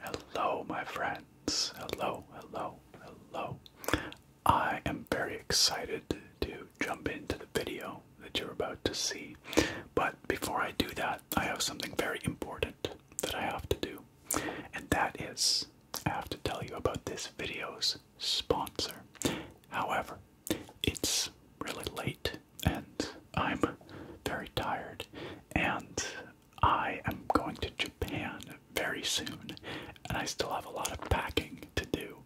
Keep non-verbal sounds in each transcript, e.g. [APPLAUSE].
Hello, my friends. Hello, hello, hello. I am very excited to jump into the video that you're about to see. But before I do that, I have something very important that I have to do. And that is, I have to tell you about this video's sponsor. However, it's really late and I'm very tired and I am going to Japan very soon, and I still have a lot of packing to do.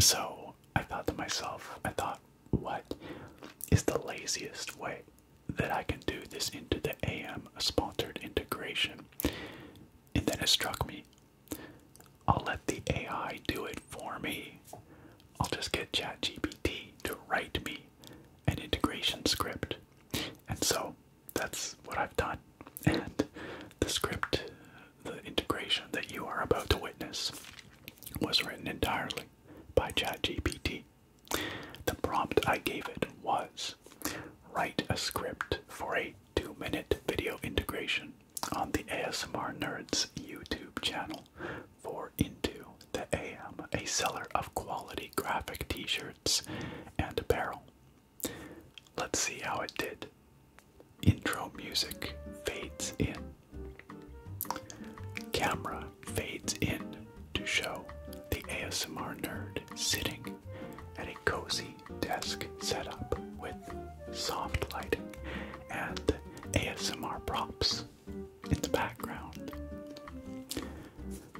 So I thought to myself, I thought, what is the laziest way that I can do this into the AM sponsored integration? And then it struck me. I'll let the AI do it for me. I'll just get ChatGPT to write me an integration script and so that's what I've done. And the script, the integration that you are about to witness, was written entirely by ChatGPT. The prompt I gave it was write a script for a two minute video integration on the ASMR Nerds YouTube channel for Into the AM, a seller of quality graphic t shirts and apparel. Let's see how it did. Intro music fades in. Camera fades in to show the ASMR nerd sitting at a cozy desk setup with soft lighting and ASMR props in the background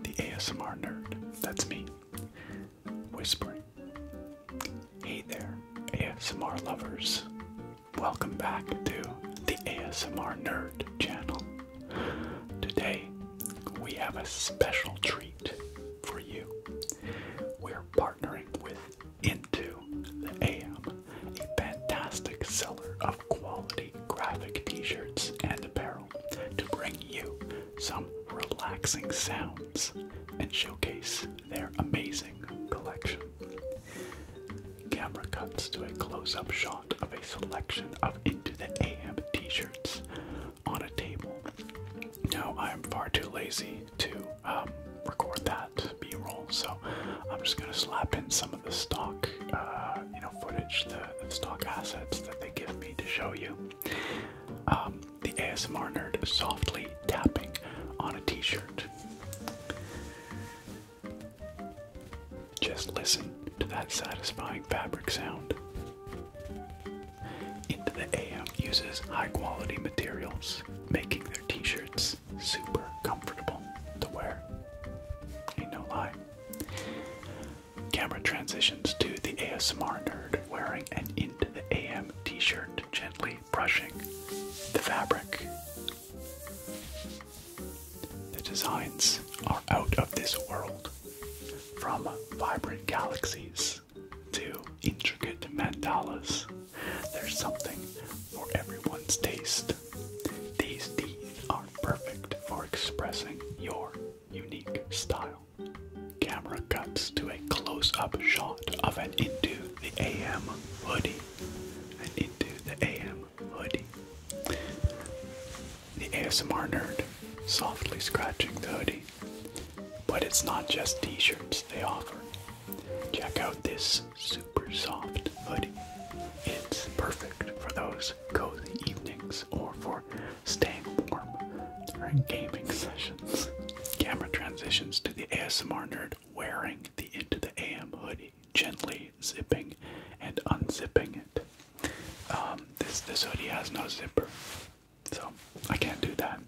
the ASMR nerd, that's me, whispering. Hey there, ASMR lovers. Welcome back to the ASMR Nerd channel. Today, we have a special treat for you. We're partnering with Into the AM, a fantastic seller of quality graphic t shirts and apparel to bring you some relaxing sounds and showcase their amazing collection. Camera cuts to a close up shot of a selection of Into the AM t shirts on a table. Now, I'm far too lazy to um, record that B roll, so I'm just gonna slap in some of the stock uh, uh, you know footage, the, stock assets that they give me to show you. Um, the ASMR nerd softly tapping on a T-shirt. Just listen to that satisfying fabric sound. Into the AM uses high-quality materials, making their T-shirts super comfortable to wear. Ain't no lie. Camera transitions to the ASMR nerd wearing an Into the AM t shirt, gently brushing the fabric. The designs are out of this world from vibrant galaxies to intricate mandalas. There's something for everyone's taste. These teeth are perfect for expressing your unique style. Camera cuts to a close up shot of an Into the AM hoodie. and Into the AM hoodie. The ASMR nerd softly scratching the hoodie. But it's not just t shirts they offer. Check out this super soft hoodie. It's perfect for those cozy evenings or for staying warm during gaming sessions. Camera transitions to the ASMR nerd wearing the Into the AM hoodie, gently zipping and unzipping it. Um, this this hoodie has no zipper, so I can't do that.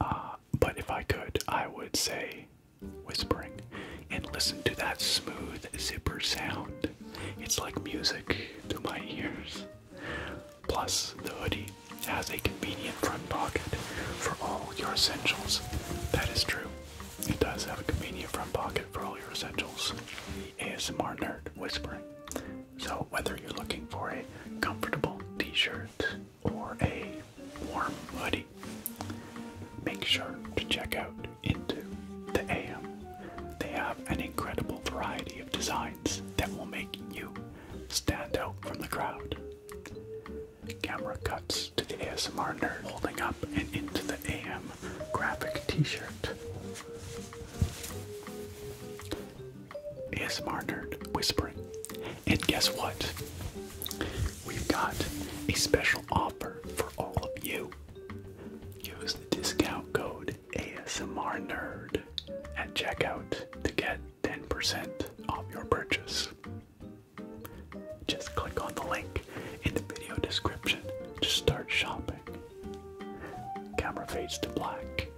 Uh, but if I could, I would say whispering and listen to that smooth zipper sound it's like music to my ears. Plus, the hoodie has a convenient front pocket for all your essentials. That is true. It does have a convenient front pocket for all your essentials. The ASMR nerd whispering. So, whether you're looking for a comfortable t shirt or a warm hoodie, make sure to check out into the AM. They have an incredible variety of designs that will make you stand out from the crowd. Camera cuts to the ASMR nerd holding up and into the AM graphic t-shirt. ASMR nerd whispering. And guess what? We've got a special offer for all of you. Use the discount code ASMR Nerd at checkout to get 10% off your purchase. Just click on the link in the video description to start shopping. Camera fades to black.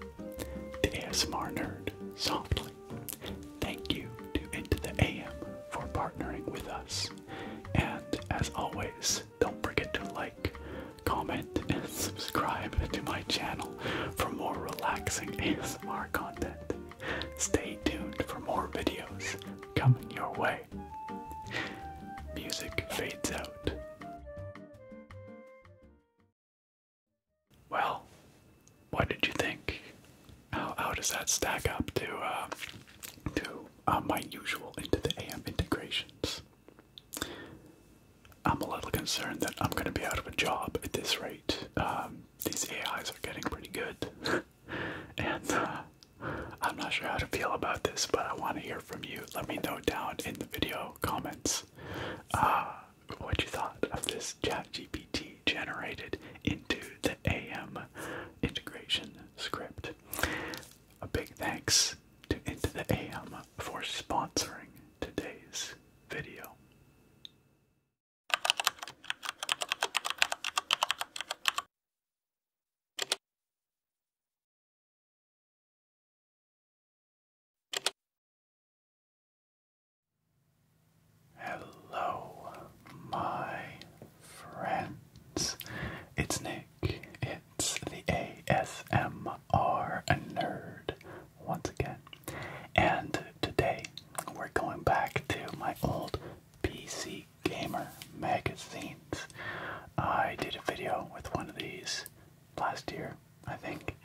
The ASMR Nerd softly. Thank you to Into the AM for partnering with us. And as always, don't forget to like, comment, and [LAUGHS] subscribe to my channel for more relaxing ASMR [LAUGHS] content. Stay tuned for more videos coming your way. Music fades out. Well, what did you think? How, does that stack up to uh, to uh, my usual into the AM integrations? I'm a little concerned that I'm going to be out of a job at this rate. Um, these AIs are getting pretty good, [LAUGHS] and uh, I'm not sure how to feel about this, but I want to hear from you. Let me know down in the video comments uh, what you thought of this ChatGPT generated into the AM integration script. A big thanks to Into the AM for sponsoring today's video. Hello, my friends. It's Nick. It it's the ASMR Nerd once again. And today we're going back to my old PC Gamer magazines. I did a video with one of these last year, I think.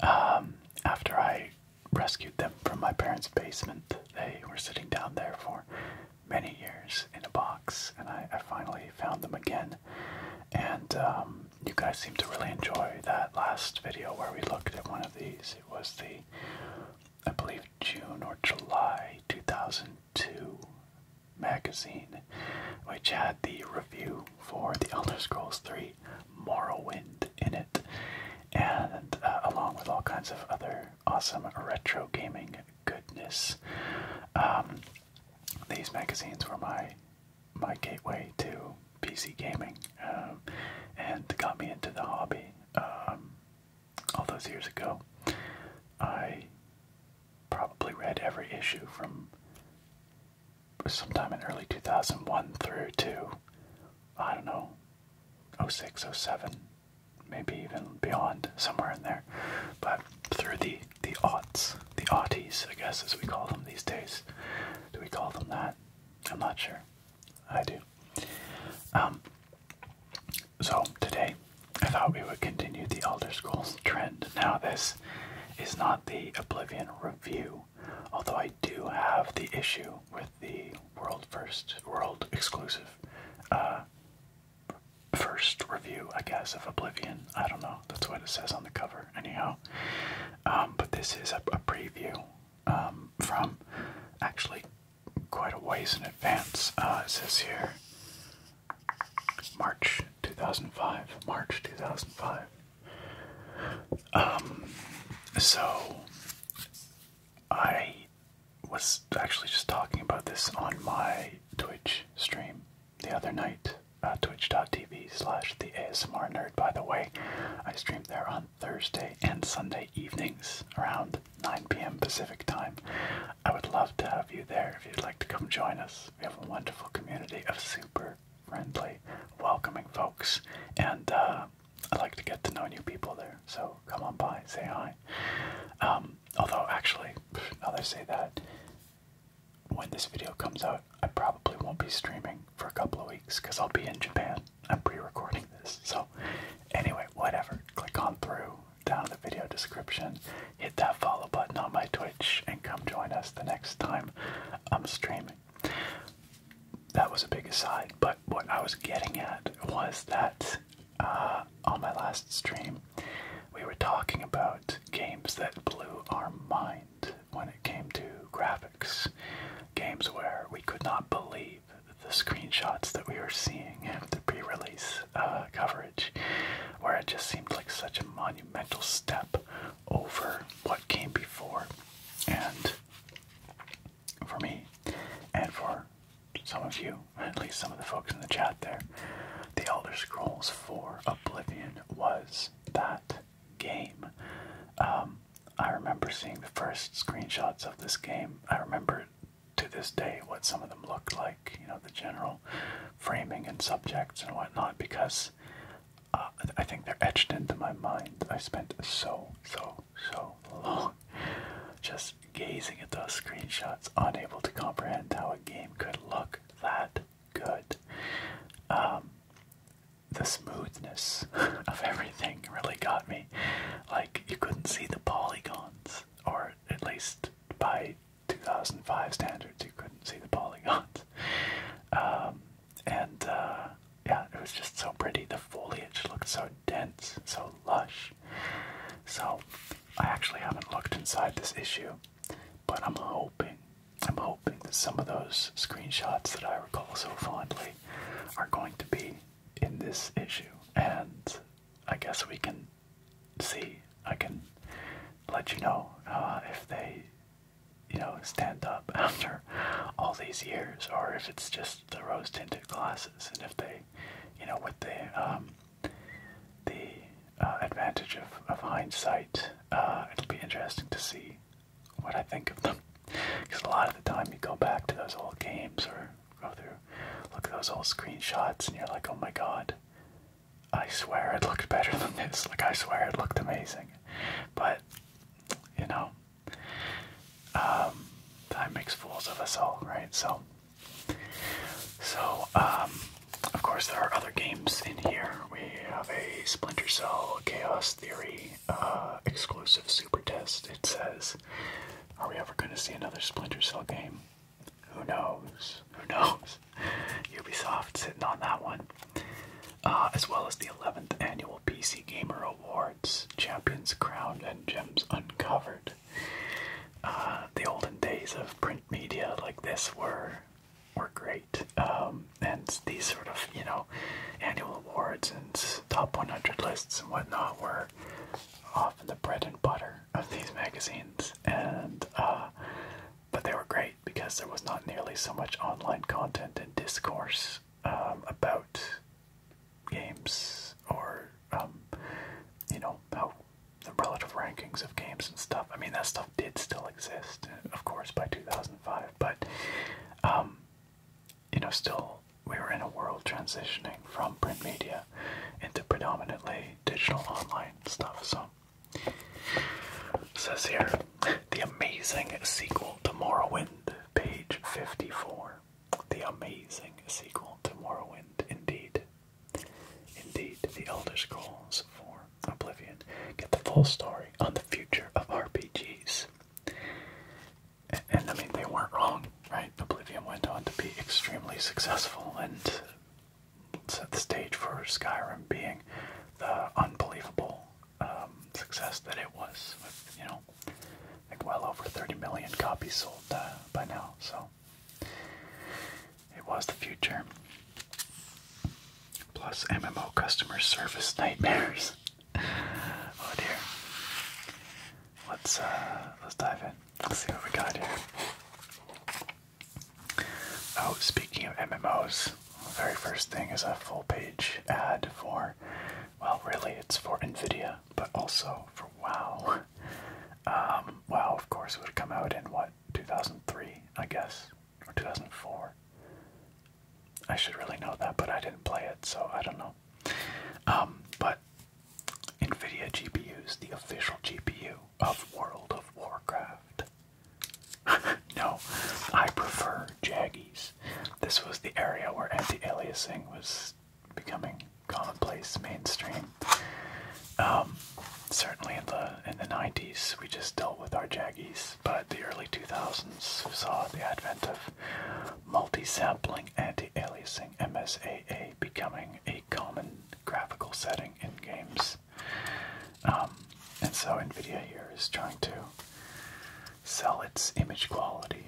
Um, after I rescued them from my parents' basement, they were sitting down there for many years in a box, and I finally found them again and um, you guys seem to really enjoy that last video where we looked at one of these. It was the, I believe, June or July 2002 magazine, which had the review for The Elder Scrolls 3 Morrowind in it, and uh, along with all kinds of other awesome retro gaming goodness. Um, these magazines were my my gateway to PC gaming, um, and got me into the hobby. Um, all those years ago, I probably read every issue from sometime in early 2001 through to I don't know 06, 07, maybe even beyond, somewhere in there. But through the the aughts, the aughties, I guess, as we call them these days. Do we call them that? I'm not sure. I do. Um, so today, I thought we would continue the Elder Scrolls trend. Now, this is not the Oblivion review, although I do have the issue with the world first, world exclusive, uh, first review, I guess, of Oblivion. I don't know that's what it says on the cover, anyhow. Um, but this is a, preview um, from actually quite a ways in advance. Uh, it says here March 2005. March 2005. Um, so I was actually just talking about this on my Twitch stream the other night. Uh, twitch.tv slash the ASMR nerd, by the way. I stream there on Thursday and Sunday evenings around 9 p.m. Pacific time. I would love to have you there if you'd like to come join us. We have a wonderful community of super friendly, welcoming folks, and uh, I'd like to get to know new people there. So come on by, say hi. Um, although, actually, now that I say that, when this video comes out, I probably won't be streaming for a couple of weeks because I'll be in Japan. I'm pre recording this. So, anyway, whatever. Click on through down in the video description, hit that follow button on my Twitch, and come join us the next time I'm streaming. That was a big aside, but what I was getting at was that uh, on my last stream, we were talking about games that blew our mind when it came to graphics. Games where we could not believe the screenshots that we were seeing after pre release uh, coverage, where it just seemed like such a monumental step over what came before. And for me, and for some of you, at least some of the folks in the chat there, The Elder Scrolls 4 Oblivion was that game. Um, I remember seeing the first screenshots of this game. I remember to this day what some of them looked like, you know, the general framing and subjects and whatnot, because uh, I think they're etched into my mind. I spent so, so, so long just gazing at those screenshots, unable to comprehend how a game could look that good. Um, the smoothness [LAUGHS] of everything really got me. Like, you couldn't see the polygons, or at least by 2005 standards, you couldn't see the polygons. Um, and uh, yeah, it was just so pretty. The foliage looked so dense, so lush. So, I actually haven't looked inside this issue, but I'm hoping I'm hoping that some of those screenshots that I recall so fondly are going to be in this issue. And I guess we can see, I can let you know uh, if they, you know, stand up [LAUGHS] after all these years or if it's just the rose tinted glasses and if they, you know, with the, um, the uh, advantage of, of hindsight. Uh, it'll be interesting to see what I think of them. Because [LAUGHS] a lot of the time you go back to those old games or go through, look at those old screenshots and you're like, oh my god, I swear it looked better than this. Like, I swear it looked amazing. But, you know, um, time makes fools of us all, right? So, so, um, of course, there are other games in here. We have a Splinter Cell Chaos Theory uh, exclusive super test. It says, Are we ever going to see another Splinter Cell game? Who knows? Who [LAUGHS] knows? Ubisoft sitting on that one. Uh, as well as the 11th annual PC Gamer Awards, Champions Crowned and Gems Uncovered. Uh, the olden days of print media like this were were great. Um, and these sort of, you know, annual awards and top 100 lists and whatnot were often the bread and butter of these magazines. And, uh, but they were great because there was not nearly so much online content and discourse um, about games or, um, you know, how the relative rankings of games and stuff. I mean, that stuff did still exist, uh, of course, by 2000 2005, but um, you know, still we were in a world transitioning from print media into predominantly digital online stuff. So it says here, the amazing sequel to Morrowind, page 54. The amazing sequel to Morrowind, indeed. Indeed, The Elder Scrolls 4. Oblivion, get the full story on the future of RPGs. And, I mean, they weren't wrong, right? Oblivion went on to be extremely successful and set the stage for Skyrim being the unbelievable um, success that it was. With, you know, like well over 30 million copies sold uh, by now, so it was the future. Plus MMO customer service nightmares. [LAUGHS] oh dear. Let's uh, let's dive in. Let's see what we got here. Oh, speaking of MMOs, the very first thing is a full page ad for well really it's for Nvidia, but also for WoW. [LAUGHS] Um, WoW of course would have come out in what, two thousand three, I guess or 2004. I should really know that, but I didn't play it, so I don't know. Um, but NVIDIA GPUs, the official GPU of World of Warcraft. [LAUGHS] no, I prefer Jaggies. This was the area where anti-aliasing was becoming commonplace, mainstream. Um, certainly the uh, in the 90s, we just dealt with our jaggies, but the early 2000s saw the advent of multi-sampling anti-aliasing MSAA becoming a common graphical setting in games. Um, and so NVIDIA here is trying to sell its image quality.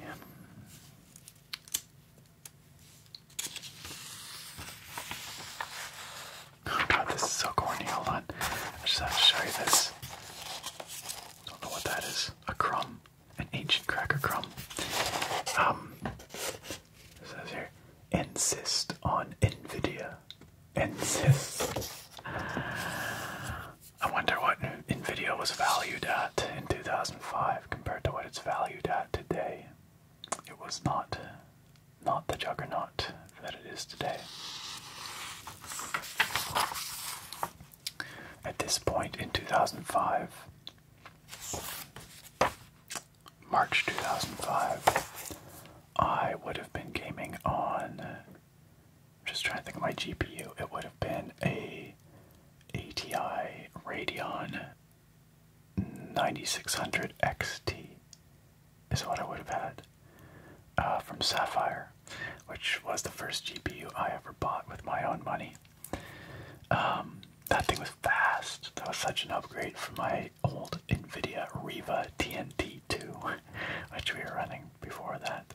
Oh god, this is so corny. Hold on. I just have to show you this. I Don't know what that is. A crumb. An ancient cracker crumb. Um it says here. Insist on Nvidia. Insist. I wonder what Nvidia was valued at in 2005 compared to what it's valued at today. It was not not the juggernaut that it is today. At this point in 2005, March 2005, I would have been gaming on. just trying to think of my GPU. It would have been a ATI Radeon 9600 XT, is what I would have had. Uh, from Sapphire, which was the first GPU I ever bought with my own money. Um, that thing was fast. That was such an upgrade from my old NVIDIA Riva TNT2, [LAUGHS] which we were running before that.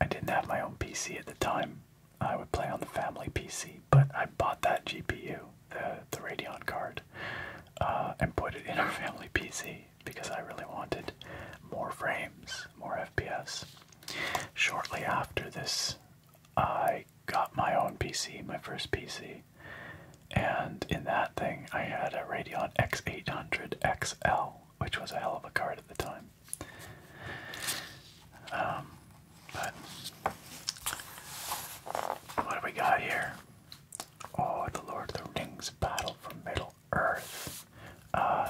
I didn't have my own PC at the time. I would play on the family PC, but I bought that GPU, the, the Radeon card, uh, and put it in our [LAUGHS] family PC because I really wanted more frames, more FPS. Shortly after this, I got my own PC, my first PC, and in that thing I had a Radeon X800 XL, which was a hell of a card at the time. Um, but what do we got here? Oh, the Lord of the Rings Battle for Middle Earth. Uh,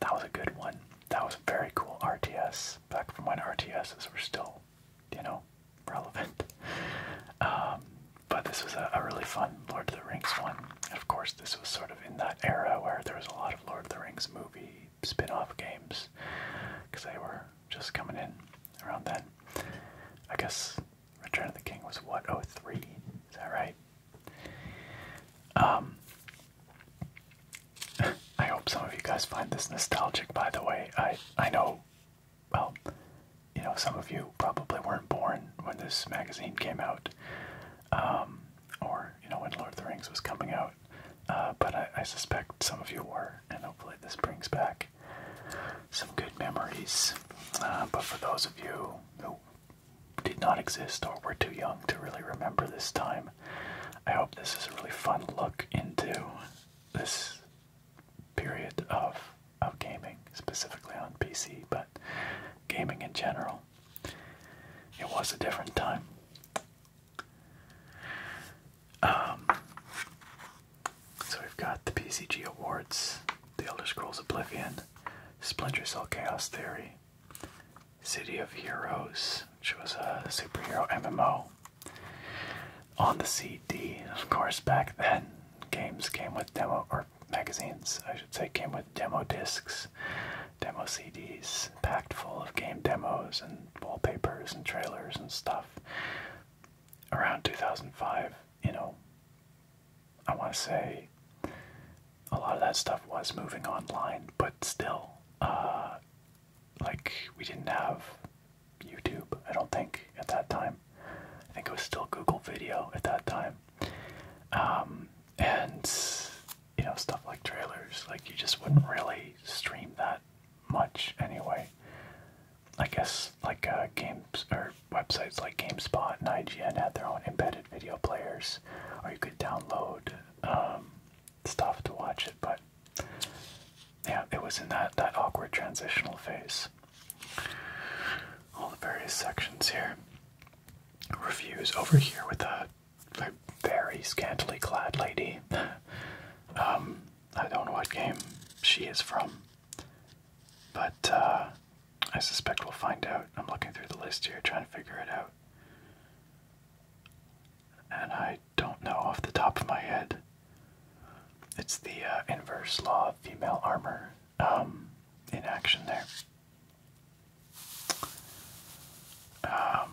that was a good one. That was a very cool RTS back from when RTSs were still, you know, relevant. [LAUGHS] Um, but this was a, really fun Lord of the Rings one. And of course, this was sort of in that era where there was a lot of Lord of the Rings movie spin off games because they were just coming in around then. I guess Return of the King was what, oh three? Is that right? Um [LAUGHS] I hope some of you guys find this nostalgic by the way. I I know well, you know, some of you probably weren't born when this magazine came out. Um or, you know, when Lord of the Rings was coming out. Uh, but I, I suspect some of you were, and hopefully this brings back some good memories. Uh, but for those of you who did not exist or were too young to really remember this time. I hope this is a really fun look into this period of of gaming, specifically on PC, but gaming in general. It was a different time. Um, so we've got the PCG Awards, The Elder Scrolls Oblivion, Splinter Cell Chaos Theory, City of Heroes, which was a superhero MMO. On the CD, of course, back then, games came with demo, or magazines, I should say, came with demo discs, demo CDs, packed full of game demos and wallpapers and trailers and stuff. Around 2005, you know, I want to say a lot of that stuff was moving online, but still, uh, like we didn't have YouTube, I don't think, at that time. I think it was still Google Video at that time. Um, and, you know, stuff like trailers, like you just wouldn't really stream that much anyway. I guess, like, uh, games or websites like GameSpot and IGN had their own embedded video players, or you could download um, stuff to watch it. But yeah, it was in that that awkward transitional phase. All the various sections here. Reviews over here with a, very scantily clad lady. [LAUGHS] Um, I don't know what game she is from, but uh, I suspect we'll find out. I'm looking through the list here trying to figure it out. And I don't know off the top of my head. It's the uh, inverse law of female armor um, in action there. Um,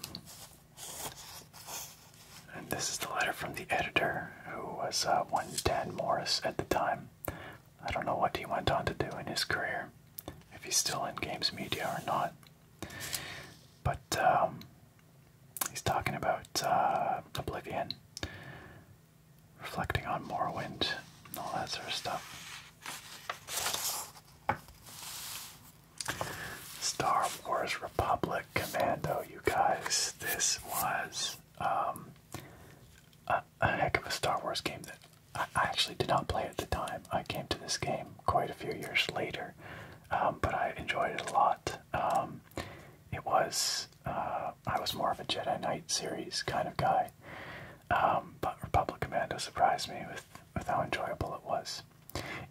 and this is the letter from the editor, who was uh, one Dan Morris at the time, I don't know what he went on to do in his career, if he's still in games media or not. But um, he's talking about uh, Oblivion, reflecting on Morrowind, and all that sort of stuff. Star Wars Republic Commando, you guys, this was um, a heck of a Star Wars game that I actually did not play at the time. I came to this game quite a few years later, um, but I enjoyed it a lot. Um, it was uh, I was more of a Jedi Knight series kind of guy, um, but Republic Commando surprised me with with how enjoyable it was.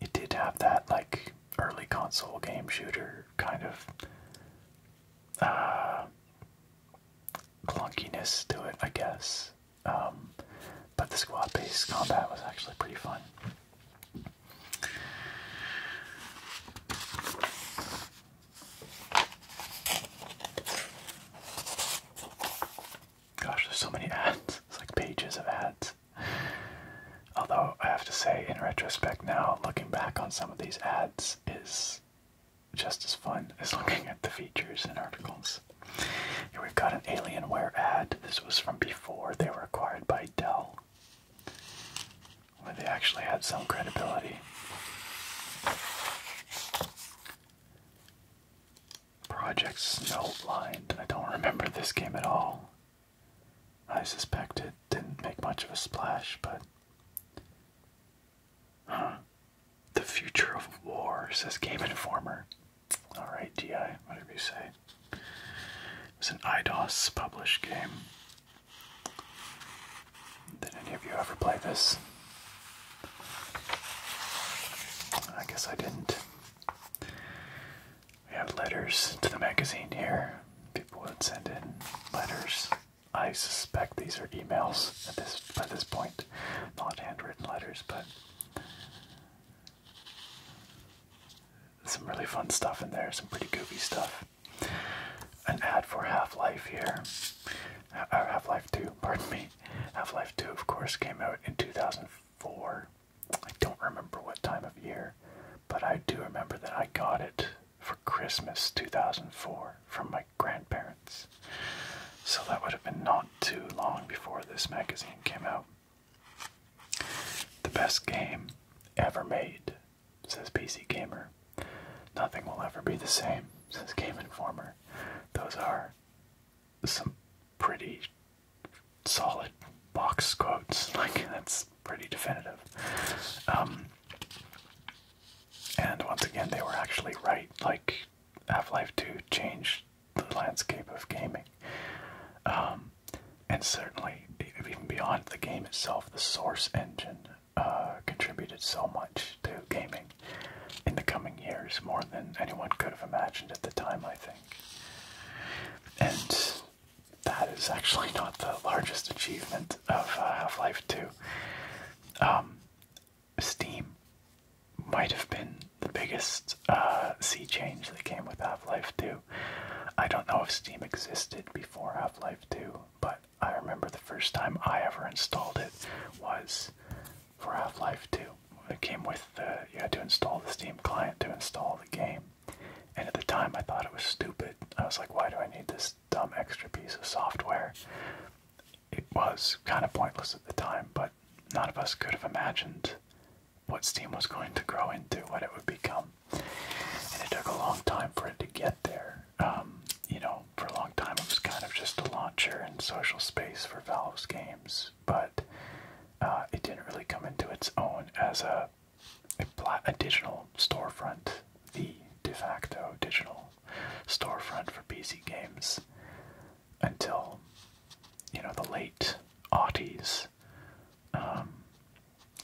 It did have that like early console game shooter kind of uh, clunkiness to it, I guess. Um, but the squad based combat was actually pretty fun. Gosh, there's so many [LAUGHS] ads. It's like pages of ads. Although I have to say, in retrospect now, looking back on some of these ads is just as fun as looking at the features and articles. Here we've got an Alienware ad. This was from before they were acquired by Dell, where they actually had some credibility. Project Snowblind. I don't remember this game at all. I suspect it didn't make much of a splash, but Huh. The future of war, says Game Informer. Alright, DI, whatever you say. It was an IDOS published game. Did any of you ever play this? I guess I didn't. We have letters to the magazine here. People would send in letters. I suspect these are emails at this by this point not handwritten letters, but some really fun stuff in there, some pretty goofy stuff. An ad for Half Life here. Uh, Half Life 2, [LAUGHS] pardon me. Half Life 2, of course, came out in 2004. I don't remember what time of year, but I do remember that I got it for Christmas 2004 from my grandparents. So that would have been not too long before this magazine came out. The best game ever made, says PC Gamer. Nothing will ever be the same, says Game Informer. Those are some pretty solid box quotes. [LAUGHS] Like, that's pretty definitive. Um, and once again, they were actually right. Like, Half-Life 2 changed the landscape of gaming. Um, and certainly, even beyond the game itself, the Source engine uh, contributed so much to gaming in the coming years, more than anyone could have imagined at the time, I think. And that is actually [LAUGHS] not the largest achievement of uh, Half Life 2. Um, Steam might have been the biggest uh, sea change that came with Half Life 2. I don't know if Steam existed before Half Life 2, but I remember the first time I ever installed it was for Half Life 2. It came with you had to install the Steam client to install the game. And at the time I thought it was stupid. I was like, why do I need this dumb extra piece of software? it was kind of pointless at the time, but none of us could have imagined what Steam was going to grow into, what it would become. And it took a long time for it to get there. Um, you know, for a long time it was kind of just a launcher and social space for Valve's games, but uh, it didn't really come into its own as a, a digital storefront, the de facto digital storefront for PC games until you know the late '80s, um,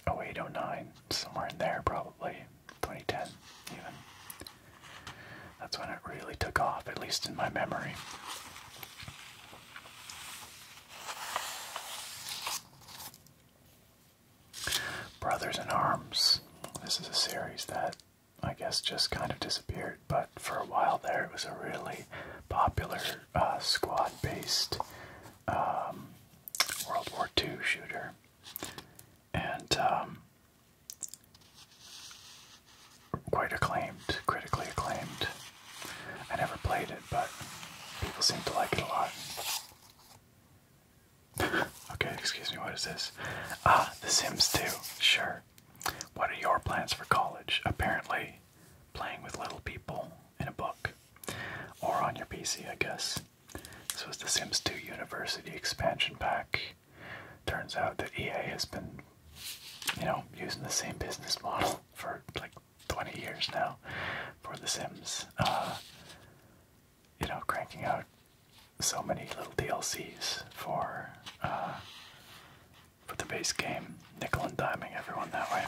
08, somewhere in there probably, 2010 even. That's when it really took off, at least in my memory. Brothers in Arms. This is a series that I guess just kind of disappeared, but for a while there it was a really popular uh, squad based um, World War II shooter. And um, quite acclaimed, critically acclaimed. I never played it, but people seem to like it a lot. [LAUGHS] okay, excuse me, what is this? Ah, The Sims 2, sure. What are your plans for college? Apparently, playing with little people in a book. Or on your PC, I guess. This was The Sims 2 University Expansion Pack. Turns out that EA has been, you know, using the same business model [LAUGHS] for like 20 years now for The Sims. Uh, you know, cranking out so many little DLCs for uh, for the base game, nickel and diming everyone that way.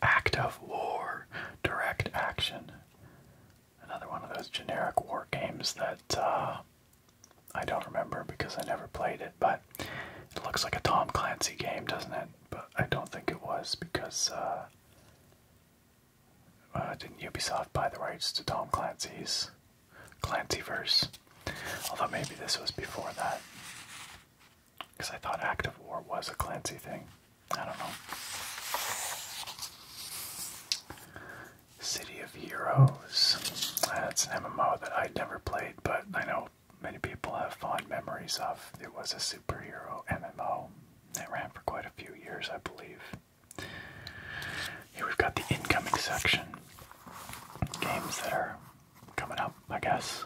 [LAUGHS] Act of War, Direct Action. Another one of those generic war games that uh, I don't remember because I never played it, but it looks like a Tom Clancy game, doesn't it? But I don't think it was because uh, uh, didn't Ubisoft buy the rights to Tom Clancy's Clancyverse? Although maybe this was before that. Because I thought Active War was a Clancy thing. I don't know. City of Heroes. That's an MMO that I'd never played, but I know many people have fond memories of. It was a superhero MMO that ran for quite a few years, I believe. Here we've got the incoming section. Games that are coming up, I guess.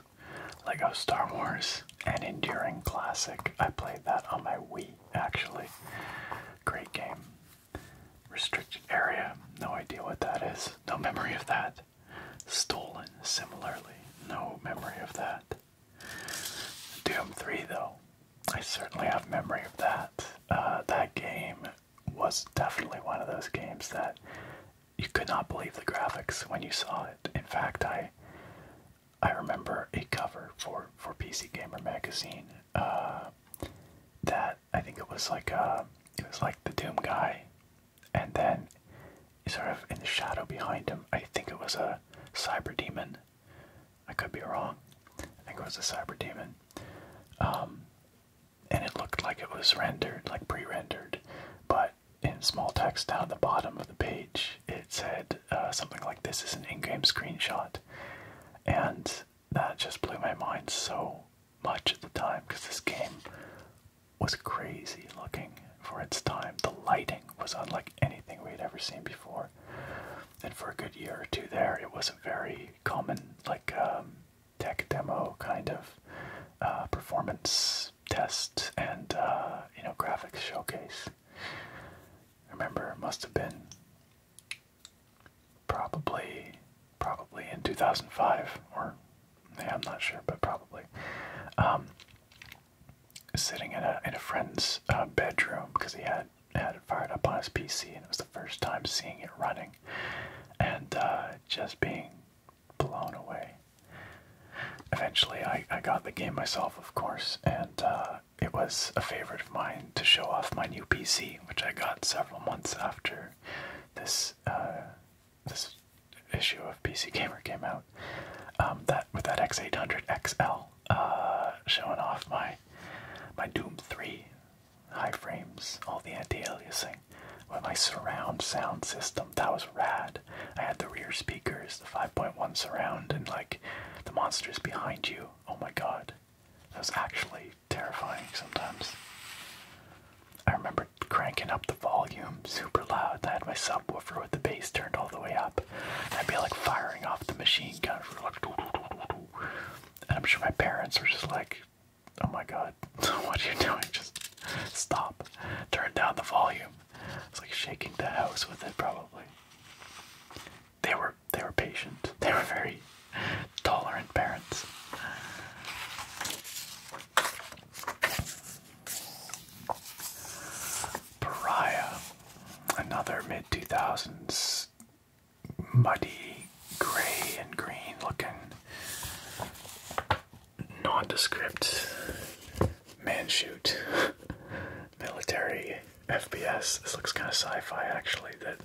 Lego Star Wars, an enduring classic. I played that on my Wii, actually. Great game. Restricted area, no idea what that is, no memory of that. Stolen, similarly, no memory of that. Doom 3, though, I certainly have memory of that. Uh, that game was definitely one of those games that you could not believe the graphics when you saw it. In fact, I I remember a cover for for PC Gamer magazine uh, that I think it was like uh, it was like the Doom guy, and then sort of in the shadow behind him, I think it was a cyber demon I could be wrong. I think it was a cyber demon. Um, and it looked like it was rendered, like pre-rendered, but in small text down the bottom of the page, it said uh, something like, "This is an in-game screenshot," and that just blew my mind so much at the time because this game was crazy looking for its time. The lighting was unlike anything we had ever seen before and for a good year or two there, it was a very common, like um, tech demo kind of uh, performance test and uh, you know graphics showcase. I remember, it must have been probably probably in 2005 or I'm not sure, but probably. Um, sitting in a in a friend's uh, bedroom because he had had it fired up on his PC and it was the first time seeing it running, and uh, just being blown away. Eventually, I I got the game myself, of course, and uh, it was a favorite of mine to show off my new PC, which I got several months after this this issue of PC Gamer came out. Um, that with that X800 XL, uh, showing off my my Doom 3 high frames, all the anti-aliasing with my surround sound system. That was rad. I had the rear speakers, the 5.1 surround, and like the monsters behind you. Oh my god. That was actually terrifying sometimes. I remember cranking up the volume super loud. I had my subwoofer with the bass turned all the way up. I'd be like firing off the machine gun, like, doo -doo -doo -doo -doo. and I'm sure my parents were just like, "Oh my god, [LAUGHS] what are you doing? Just stop, turn down the volume." It's like shaking the house with it, probably. They were they were patient. [LAUGHS] They were very tolerant parents. Pariah, another mid 2000s muddy gray and green looking nondescript man shoot [LAUGHS] military FBS. This looks kind of sci fi actually, that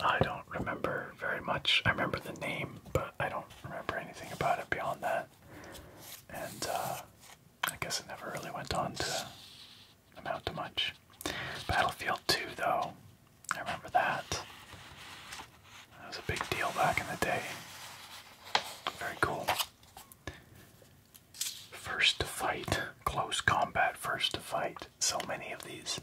I don't remember very much. I remember the name, but I don't remember anything about it beyond that. And uh, I guess it never really went on to amount to much. Battlefield 2, though, I remember that. That was a big deal back in the day. Very cool. First to fight, close combat, first to fight. So many of these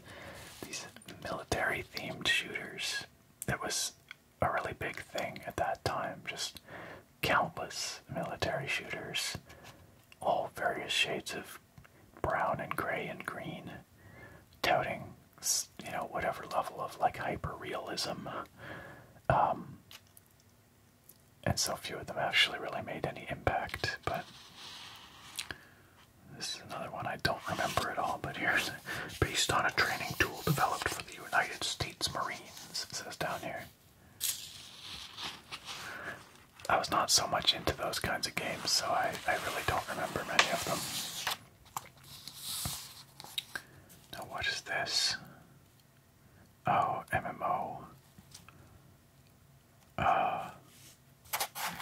these military-themed shooters. That was a really big thing at that time. Just countless military shooters all various shades of brown and gray and green, touting you know whatever level of like hyper realism. Um, and so few of them actually really made any impact, but this is another one I don't remember at all, but here's based on a training tool developed for the United States Marines, it says down here. I was not so much into those kinds of games, so I, I really don't remember many of them. Now, what is this? Oh, MMO. Uh,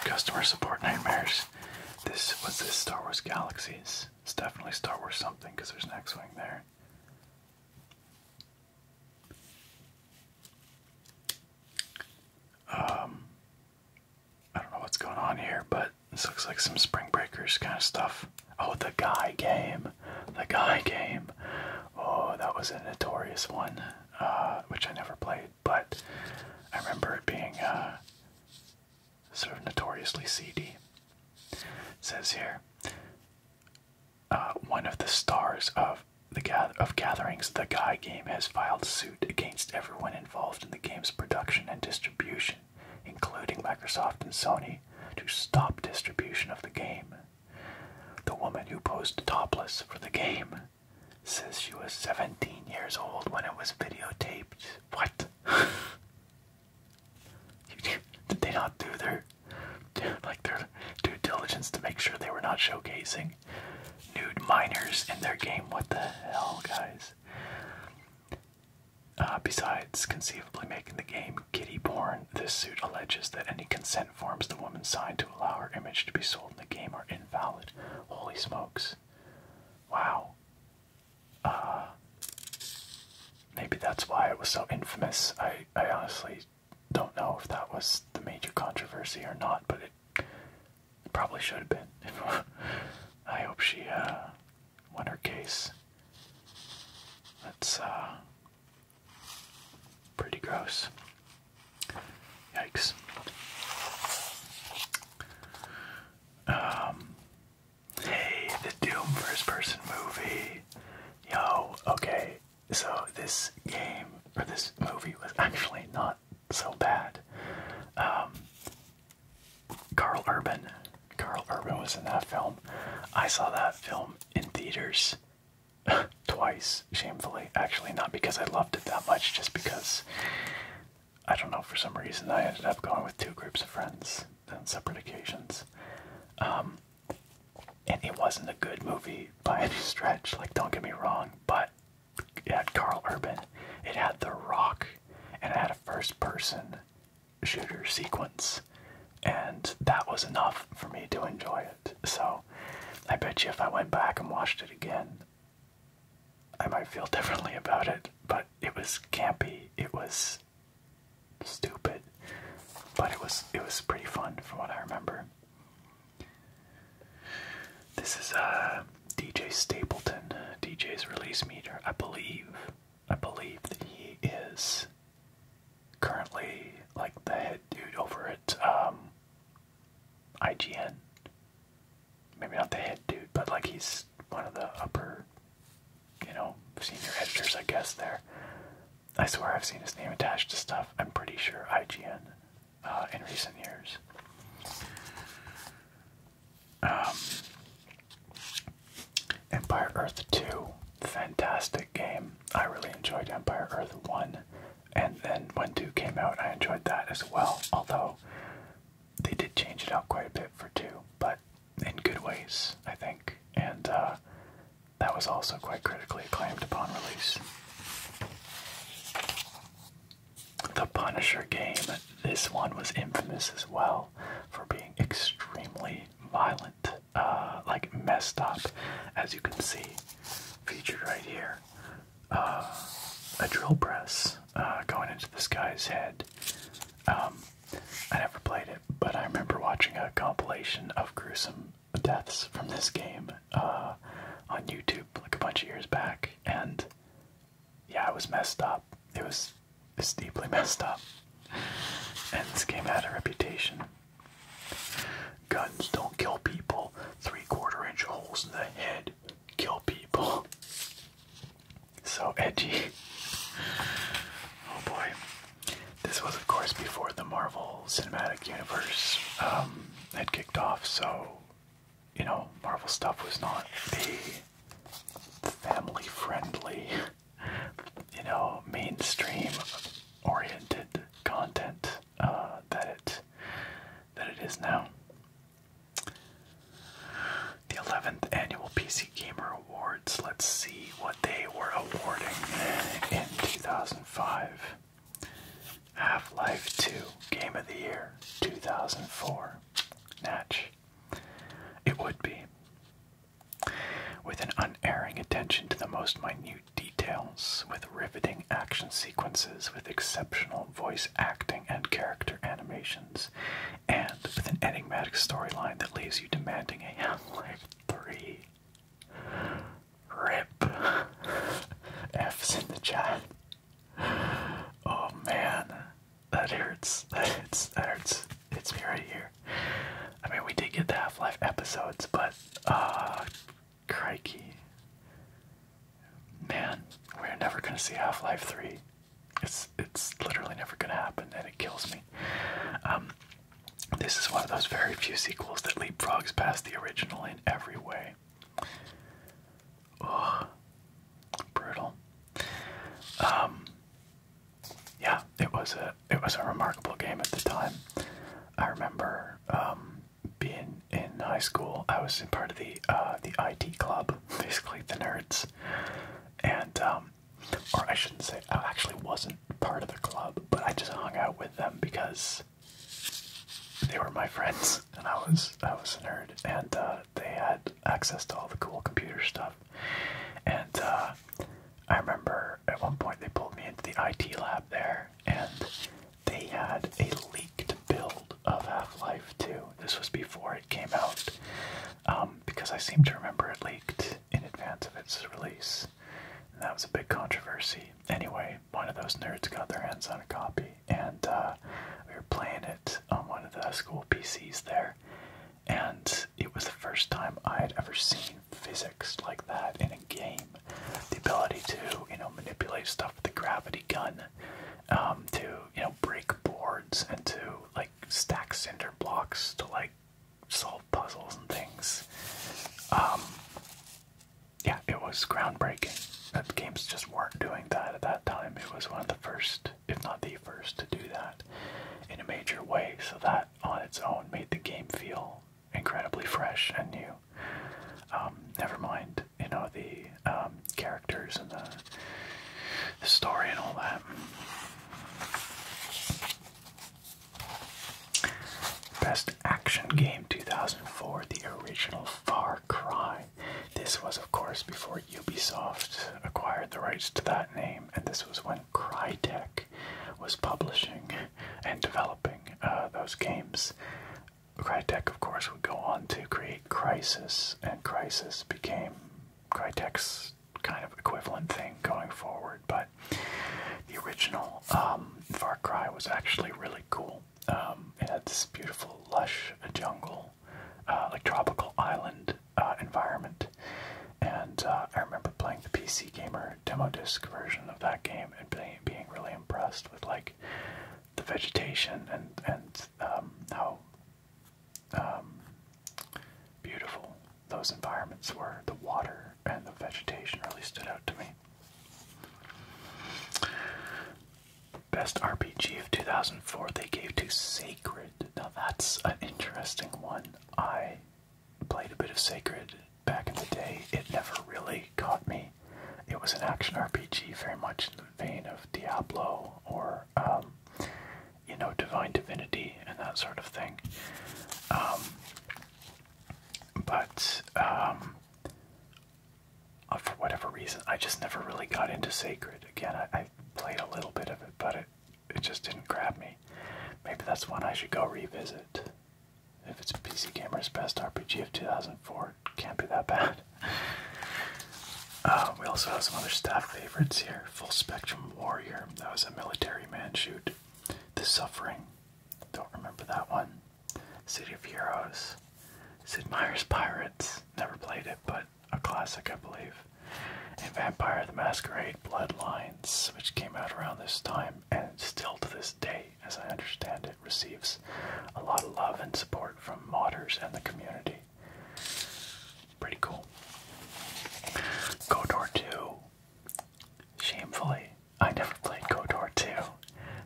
customer support nightmares. This was this Star Wars Galaxies. It's definitely Star Wars something because there's an there. Um, I don't know what's going on here, but this looks like some Spring Breakers kind of stuff. Oh, the guy game. The guy game. Oh, that was a notorious one, uh, which I never played, but I remember it being uh, sort of notoriously seedy. says here uh, one of the stars of the of gatherings, the Guy game has filed suit against everyone involved in the game's production and distribution, including Microsoft and Sony, to stop distribution of the game. The woman who posed topless for the game says she was 17 years old when it was videotaped. What? [LAUGHS] Did they not do their [LAUGHS] like their due diligence to make sure they were not showcasing nude minors in their game. What the hell, guys? Uh, besides conceivably making the game kiddie porn, this suit alleges that any consent forms the woman signed to allow her image to be sold in the game are invalid. Holy smokes. Wow. Uh, maybe that's why it was so infamous. I, I honestly don't know if that was the major controversy or not, but it probably should have been. [LAUGHS] I hope she uh, won her case. That's uh, pretty gross. Yikes. Um, hey, the Doom first person movie. Yo, okay, so this game or this movie was actually not so bad. Um, Carl Urban, Carl Urban was in that film. I saw that film in theaters [LAUGHS] twice, shamefully. Actually, not because I loved it that much, just because I don't know for some reason I ended up going with two groups of friends on separate occasions. Um, and it wasn't a good movie by any stretch. Like, don't get me wrong, but it had Carl Urban, it had The Rock, and it had a first-person shooter sequence, and that was enough for me to enjoy it. So, I bet you if I went back and watched it again, I might feel [LAUGHS] differently about it. But it was campy. It was stupid but it was it was pretty fun from what I remember. This is uh, DJ Stapleton, uh, DJ's release meter. I believe, I believe that he is currently like the head dude over at um, IGN. Maybe not the head dude, but like he's one of the upper, you know, senior editors, I guess. There, I swear I've seen his name attached to stuff. I'm pretty sure IGN uh, in recent years. Um, Empire Earth 2, fantastic game. I really enjoyed Empire Earth 1, and then when 2 came out, I enjoyed that as well. Although they did change it out quite a bit for 2, but in good ways, I think. And uh, that was also quite critically acclaimed upon release. The Punisher game, this one was infamous as well for being extremely violent, uh, like messed up, as you can see, featured right here. Uh, a drill press uh, going into this guy's head. Um, I never played it, but I remember watching a compilation of gruesome deaths from this game uh, on YouTube like a bunch of years back, and yeah, it was messed up. It was it's deeply [LAUGHS] messed up, and this game had a reputation. Guns don't kill people. Three-quarter inch holes in the head kill people. [LAUGHS] So edgy. Oh boy. This was, of course, before the Marvel Cinematic Universe um, had kicked off, so you know, Marvel stuff was not the family friendly, you know, mainstream oriented content uh, that that it is now. The 11th annual PC Gamer Awards. Let's see what they were awarding in 2005. Half Life 2 Game of the Year 2004. Natch. It would be. With an unerring attention to the most minute details, with riveting action sequences, with exceptional voice acting and character animations, and with an enigmatic storyline that leaves you demanding a [LAUGHS] Half Life 3. Rip. F's in the chat. Oh man, that hurts. That hurts. That hurts. It's me right here. I mean, we did get the Half Life episodes, but uh, crikey, man, we're never gonna see Half Life Three. It's it's literally never gonna happen, and it kills me. Um, this is one of those very few sequels that leapfrogs past the original in every way way. Brutal. Um yeah, it was a it was a remarkable game at the time. I remember um, being in high school, I was part of the uh, the IT club, [LAUGHS] basically the nerds. And um, or I shouldn't say I actually wasn't part of the club, but I just hung out with them because they were my friends and I was I was a nerd and uh, they had access to all the cool computer stuff. And uh, I remember at one point they pulled me into the IT lab there and they had a leaked build of Half-Life 2. This was before it came out um, because I seem to remember it leaked in advance of its release. And that was a big controversy. Anyway, one of those nerds got their hands on a copy, and uh, we were playing it on one of the school PCs there. And it was the first time I had ever seen physics like that in a game. The ability to, you know, manipulate stuff with the gravity gun, um, to, you know, break boards and to, like, stack cinder blocks to, like, solve puzzles and things. Um, yeah, it was groundbreaking. That games just weren't doing that at that time. It was one of the first, if not the first, to do that in a major way. So that on its own made the game feel incredibly fresh and new. Um, never mind, you know, the um, characters and the story and all that. Best Action Game 2004, the original Far Cry. This was, of course, before Ubisoft acquired the rights to that name, and this was when Crytek was publishing and developing uh, those games. Crytek, of course, would go on to create Crisis, and Crisis became Crytek's kind of equivalent thing going forward, but the original um, Far Cry was actually really cool. Um, it had this beautiful, lush jungle, uh, like tropical island uh, environment. And uh, I remember playing the PC Gamer demo disc version of that game and being, being really impressed with like the vegetation and and um, how um, beautiful those environments were. The water and the vegetation really stood out to me. Best RPG of 2004 they gave to Sacred. Now that's an interesting one. I played a bit of Sacred back in the day. It never really caught me. It was an action RPG very much in the vein of Diablo or, um, you know, Divine Divinity and that sort of thing. Um, but um, uh, for whatever reason, I just never really got into Sacred. Again, I, played a little bit of it, but it it just didn't grab me. Maybe that's one I should go revisit. If it's PC Gamer's Best RPG of 2004, it can't be that bad. [LAUGHS] Uh, we also have some other staff favorites here. Full Spectrum Warrior. That was a military man shoot. The Suffering. Don't remember that one. City of Heroes, Sid Meier's Pirates. Never played it, but a classic, I believe. And Vampire the Masquerade Bloodlines, which came out around this time and still to this day, as I understand it, receives a lot of love and support from modders and the community. Pretty cool. Godor 2. Shamefully, I never played Godor 2.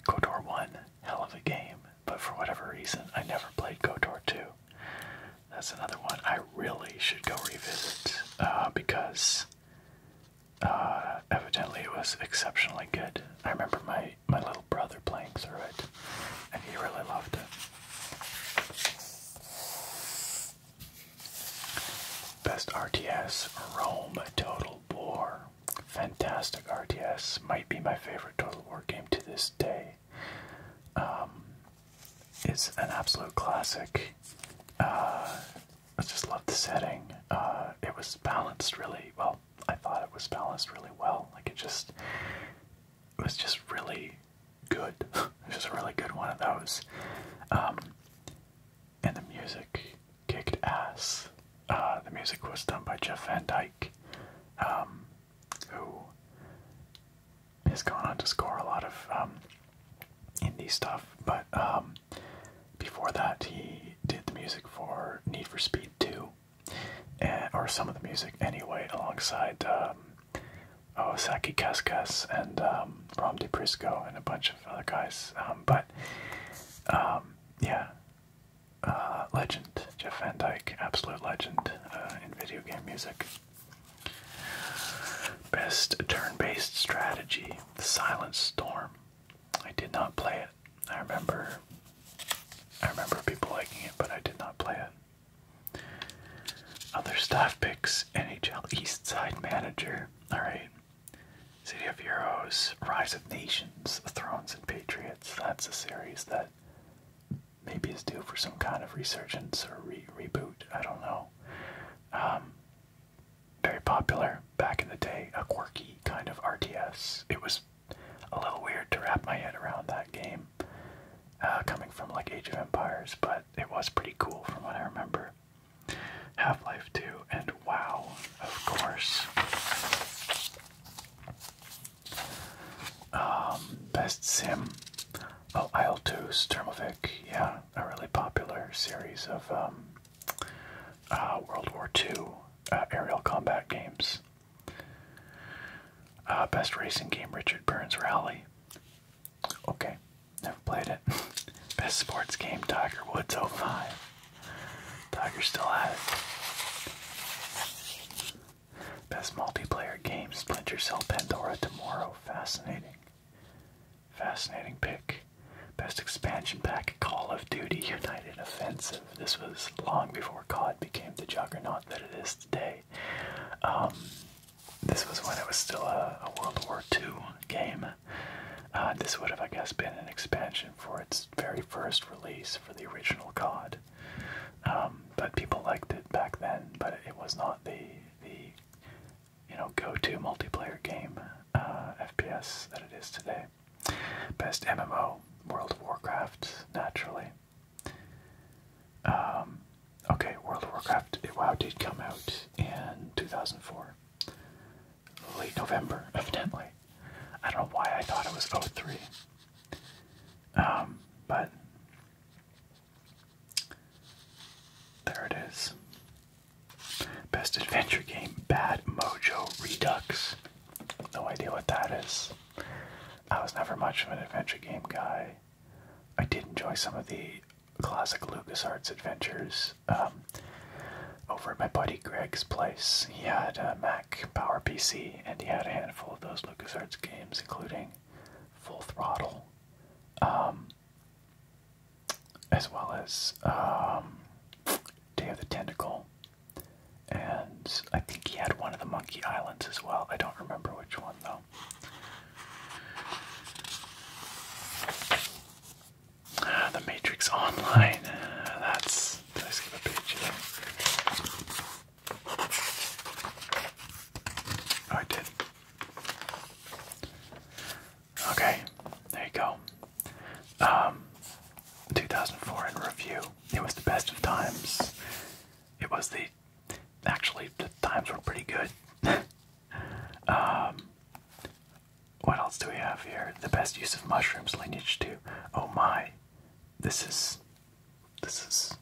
Godor 1 hell of a game, but for whatever reason, I never played KOTOR 2. That's another one I really should go revisit uh, because uh, evidently it was exceptionally good. I remember my, my little brother playing through it, and he really loved it. Best RTS Rome Total bore. Fantastic RTS. Might be my favorite Total War game to this day. Um, it's an absolute classic. Uh, I just love the setting. Uh, it was balanced really well. I thought it was balanced really well. Like it just was just really good. [LAUGHS] it was a really good one of those. Um, and the music kicked ass. Uh, the music was done by Jeff Van Dyke, um, who has gone on to score a lot of um, indie stuff. But um, before that, he did the music for Need for Speed 2, and, eh, or some of the music anyway, alongside Osaki Kaskas and um, Rom DePrisco and a bunch of other guys. but yeah, uh, legend, Jeff Van Dyke, absolute legend uh, in video game music. Best turn-based strategy, Silent Storm. I did not play it. I remember, I remember people liking it, but I did not play it. Other staff picks: NHL East Side Manager. All right. City of Heroes, Rise of Nations. Thrones, and Patriots. That's a series that maybe is due for some kind of resurgence or reboot. I don't know. Um, very popular back in the day, a quirky kind of RTS. It was a little weird to wrap my head around that game, uh, coming from like Age of Empires, but it was pretty cool from what I remember. Half Life 2 and WoW, of course. Um, best sim. Oh, Isle 2, Sturmovik. Yeah, a really popular series of um, uh, World War II uh, aerial combat games. Uh, best racing game, Richard Burns Rally. Okay, never played it. [LAUGHS] best sports game, Tiger Woods 05. Tiger still has Best multiplayer game, Splinter Cell Pandora tomorrow. Fascinating. Fascinating pick. Best expansion pack, Call of Duty United Offensive. This was long before COD became the juggernaut that it is today. Um, this was when it was still a, World War II game. Uh, this would have, I guess, been an expansion for its very first release for the original COD. Um, but people liked it back then, but it was not the the you know go-to multiplayer game uh, FPS that it is today. Best MMO, World of Warcraft, naturally. Um, okay, World of Warcraft. WoW did come out in 2004, late November, [LAUGHS] evidently. I don't know why I thought it was 03. Um, but there it is. Best adventure game, Bad Mojo Redux. No idea what that is. I was never much of an adventure game guy. I did enjoy some of the classic LucasArts adventures. Um, over at my buddy Greg's place, he had a uh, Power PC, and he had a handful of those LucasArts games, including Full Throttle, um, as well as um, Day of the Tentacle, and I think he had one of the Monkey Islands as well. I don't remember which one though. the Matrix Online. that's. Did I skip a page? Oh, I did. Okay, there you go. Um, 2004 in review. It was the best of times. It was the. Actually, the times were pretty good. [LAUGHS] Um, what else do we have here? The best use of mushrooms, lineage 2. Oh my. This is this is.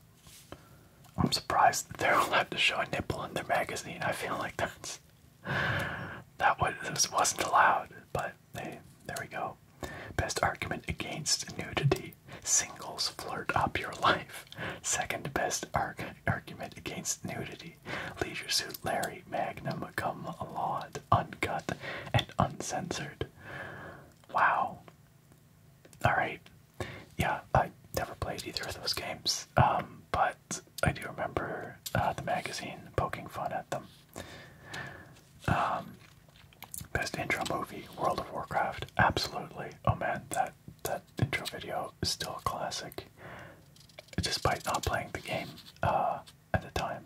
I'm surprised that they're [LAUGHS] allowed to show a nipple in their magazine. I feel like that's. That was, wasn't allowed, but hey, there we go. Best argument against nudity. Singles flirt up your life. Second best arg argument against nudity. Leisure Suit Larry Magnum come laud, uncut and uncensored. Wow, Alright. Yeah, I never played either of those games, um, but I do remember uh, the magazine poking fun at them. Um, best intro movie, World of Warcraft. Absolutely. Oh man, that, that intro video is still a classic, despite not playing the game uh, at the time.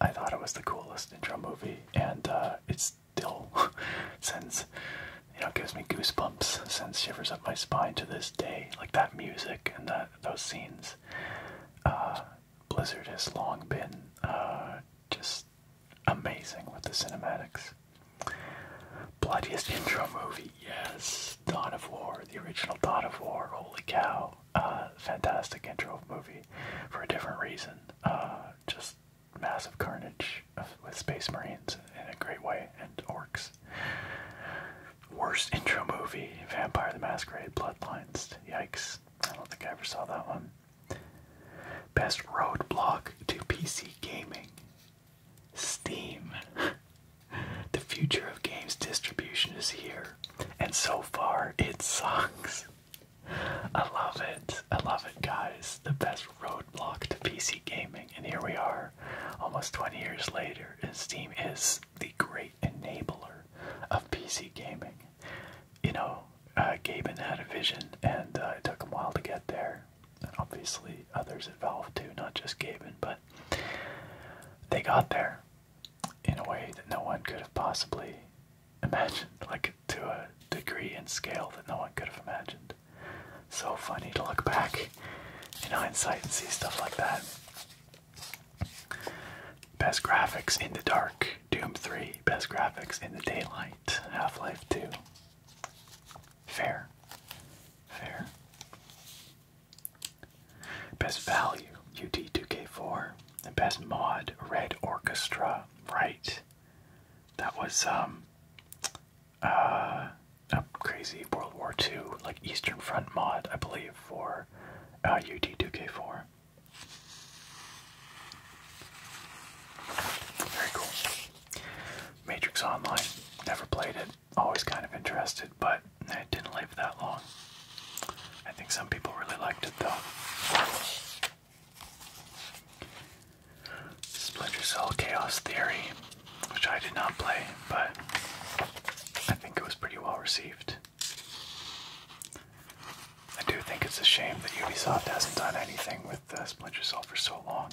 I thought it was the coolest intro movie, and uh, it's still [LAUGHS] sends you know gives me goosebumps, sends shivers up my spine to this day. Like that music and that those scenes. Uh, Blizzard has long been uh, just amazing with the cinematics. Bloodiest intro movie, yes. Dawn of War, the original Dawn of War. Holy cow! Uh, fantastic intro movie for a different reason. just massive carnage with space marines in a great way and orcs. Worst intro movie, Vampire the Masquerade Bloodlines. Yikes. I don't think I ever saw that one. Best roadblock to PC gaming. Steam. [LAUGHS] the future of games distribution is here. And so far, it sucks. I love it. I love it, guys. The best roadblock to PC gaming. And here we are, almost 20 years later, and Steam is the great enabler of PC gaming. You know, uh, Gaben had a vision, and uh, it took him a while to get there. And obviously, others at Valve too, not just Gaben, but they got there in a way that no one could have possibly Imagine like to a degree and scale that no one could have imagined. So funny to look back in hindsight and see stuff like that. Best graphics in the dark, Doom 3. Best graphics in the daylight, Half Life 2. Fair. Fair. Best value, UT 2 k 4 And best mod, Red Orchestra. Right that was um, uh, a crazy World War II like Eastern Front mod, I believe, for ut uh, 2 k 4 Very cool. Matrix Online. Never played it. Always kind of interested, but it didn't live that long. I think some people really liked it though. Splinter Cell Chaos Theory, which I did not play, but I think it was pretty well received. I do think it's a shame that Ubisoft hasn't done anything with Splinter Cell for so long.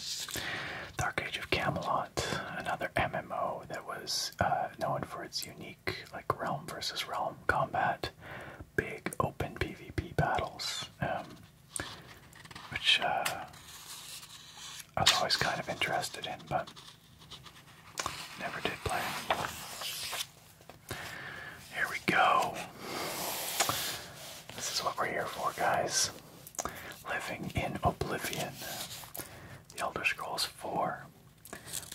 Dark Age of Camelot, another MMO that was uh, known for its unique like realm versus realm combat, big open PvP battles, um, which uh, I was always kind of interested in, but never did play. Here we go. This is what we're here for, guys. Living in Oblivion. The Elder Scrolls 4.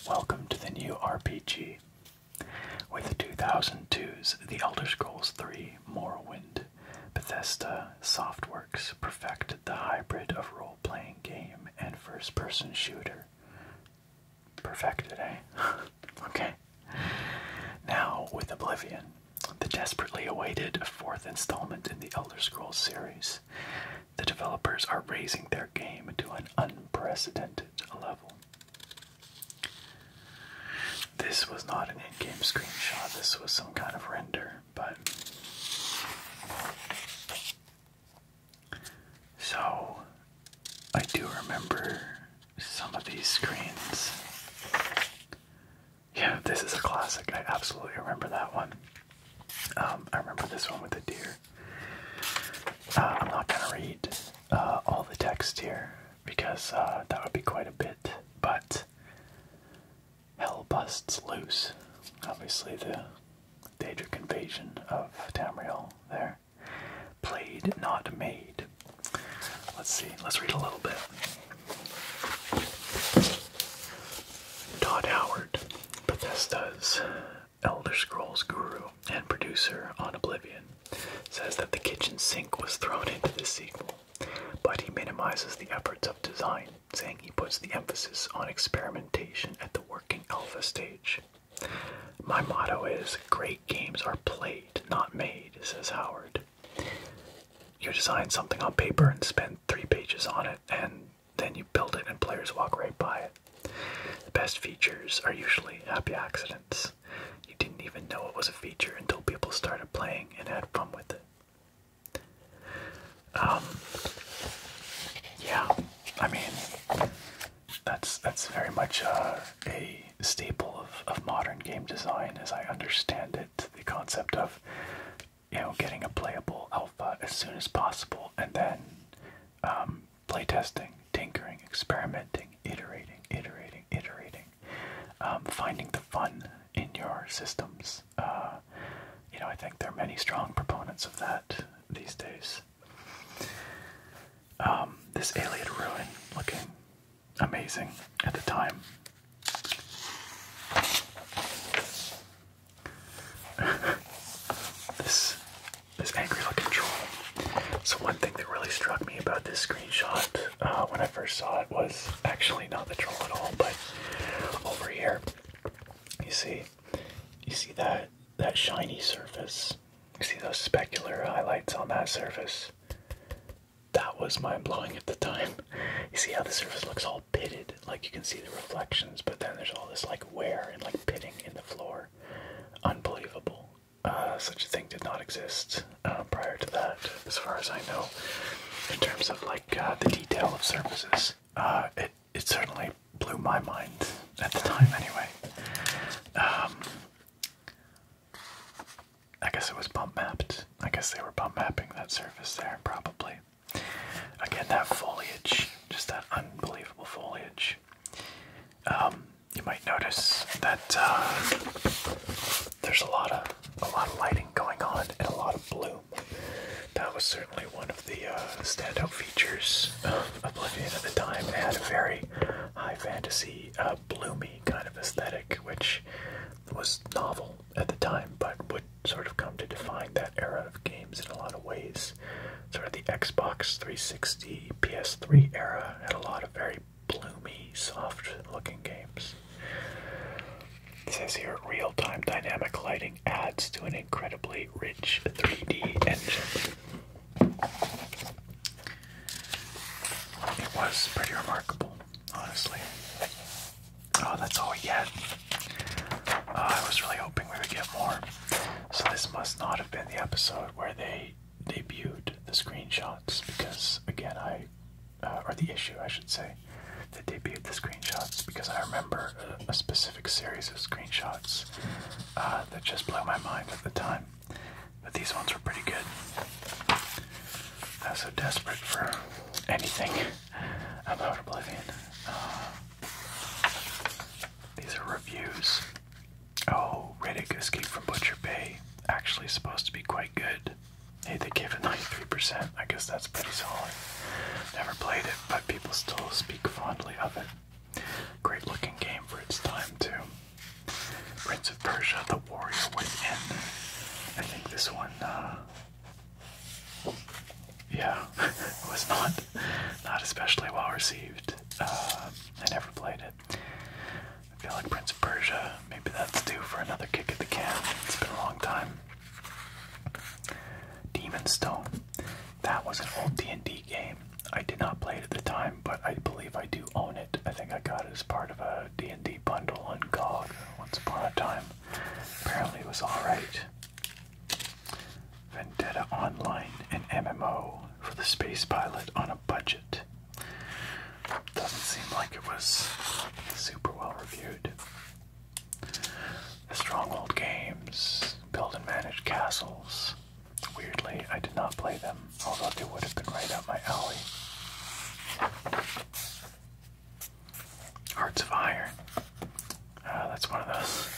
Welcome to the new RPG. With 2002's The Elder Scrolls III Morrowind, Bethesda Softworks perfected the hybrid of role playing game and first person shooter. Perfected, eh? [LAUGHS] okay. Now, with Oblivion, the desperately awaited fourth installment in the Elder Scrolls series, the developers are raising their game to an unprecedented level. This was not an in game screenshot, this was some kind of render, but. So, I do remember some of these screens. Yeah, this is a classic. I absolutely remember that one. Um, I remember this one with the deer. Uh, I'm not gonna read uh, all the text here because uh, that would be quite a bit. But hell busts loose. Obviously, the Daedric invasion of Tamriel there. Played, not made. Let's see, let's read a little bit. Todd Howard, Bethesda's Elder Scrolls guru and producer on Oblivion, says that the kitchen sink was thrown into the sequel, but he minimizes the efforts of design, saying he puts the emphasis on experimentation at the working alpha stage. My motto is great games are played, not made, says Howard. You design something on paper and spend three pages on it, and then you build it and players walk right by it. The best features are usually happy accidents. You didn't even know it was a feature until people started playing and had fun with it. Um, yeah, I mean, that's that's very much uh, a staple of, modern game design, as I understand it. The concept of you know getting a playable alpha as soon as possible, and then um, playtesting, tinkering, experimenting, iterating, iterating, iterating, um, finding the fun in your systems. Uh, you know, I think there are many strong proponents of that these days. Um, this alien ruin looking amazing at the time. [LAUGHS] this this angry looking troll so one thing that really struck me about this screenshot uh, when I first saw it was actually not the troll at all, but over here, you see, you see that that shiny surface. You see those specular highlights on that surface. That was mind blowing at the time. You see how the surface looks all pitted, like you can see the reflections, but then there's all this like wear and like pitting in the floor. Unbelievable. Uh, such a thing did not exist uh, prior to that, as far as I know. In terms of like uh, the detail of surfaces, it it certainly blew my mind at the time. Anyway, um, I guess it was bump mapped. I guess they were bump mapping that surface there, probably. Again, that foliage, just that unbelievable foliage. Um, you might notice that uh, there's a lot of a lot of lighting going on and a lot of bloom. That was certainly one of the uh, standout features of Oblivion at the time. It had a very high fantasy, uh, bloomy kind of aesthetic, which was novel at the time, but would sort of come to define that era of games in a lot of ways. Sort of the Xbox 360, PS3 era had a lot of very bloomy, soft-looking games. says here, real-time dynamic lighting adds to an incredibly rich 3D engine. It was pretty remarkable, honestly. Oh, that's all we get. Uh, I was really hoping we would get more. So this must not have been the episode where they debuted the screenshots because again I uh, or the issue I should say that debuted the screenshots because I remember a, specific series of screenshots uh, that just blew my mind at the time. But these ones were pretty good. I uh, was so desperate for anything about Oblivion. these are reviews. Oh, Riddick Escape from Butcher Bay. Actually supposed to be quite good. Hey, they gave it 93%. I guess that's pretty solid. Never played it, but people still speak fondly of it. Great looking game for its time, too. Prince of Persia, The Warrior Within. I think this one, uh, Yeah, [LAUGHS] was not, not especially well received. Uh, I never played it. I feel like Prince of Persia, maybe that's due for another kick at the can. It's been a long time. Demon Stone. That was an old D&D game. I did not play it at the time, but I believe I do own it. I think I got it as part of a D&D bundle on GOG once upon a time. Apparently it was alright. Vendetta Online, an MMO for the space pilot on a budget. Doesn't seem like it was super well reviewed. The Stronghold games, build and manage castles. Weirdly, I did not play them, although they would have been right up my alley. Hearts of Iron. Uh, that's one of those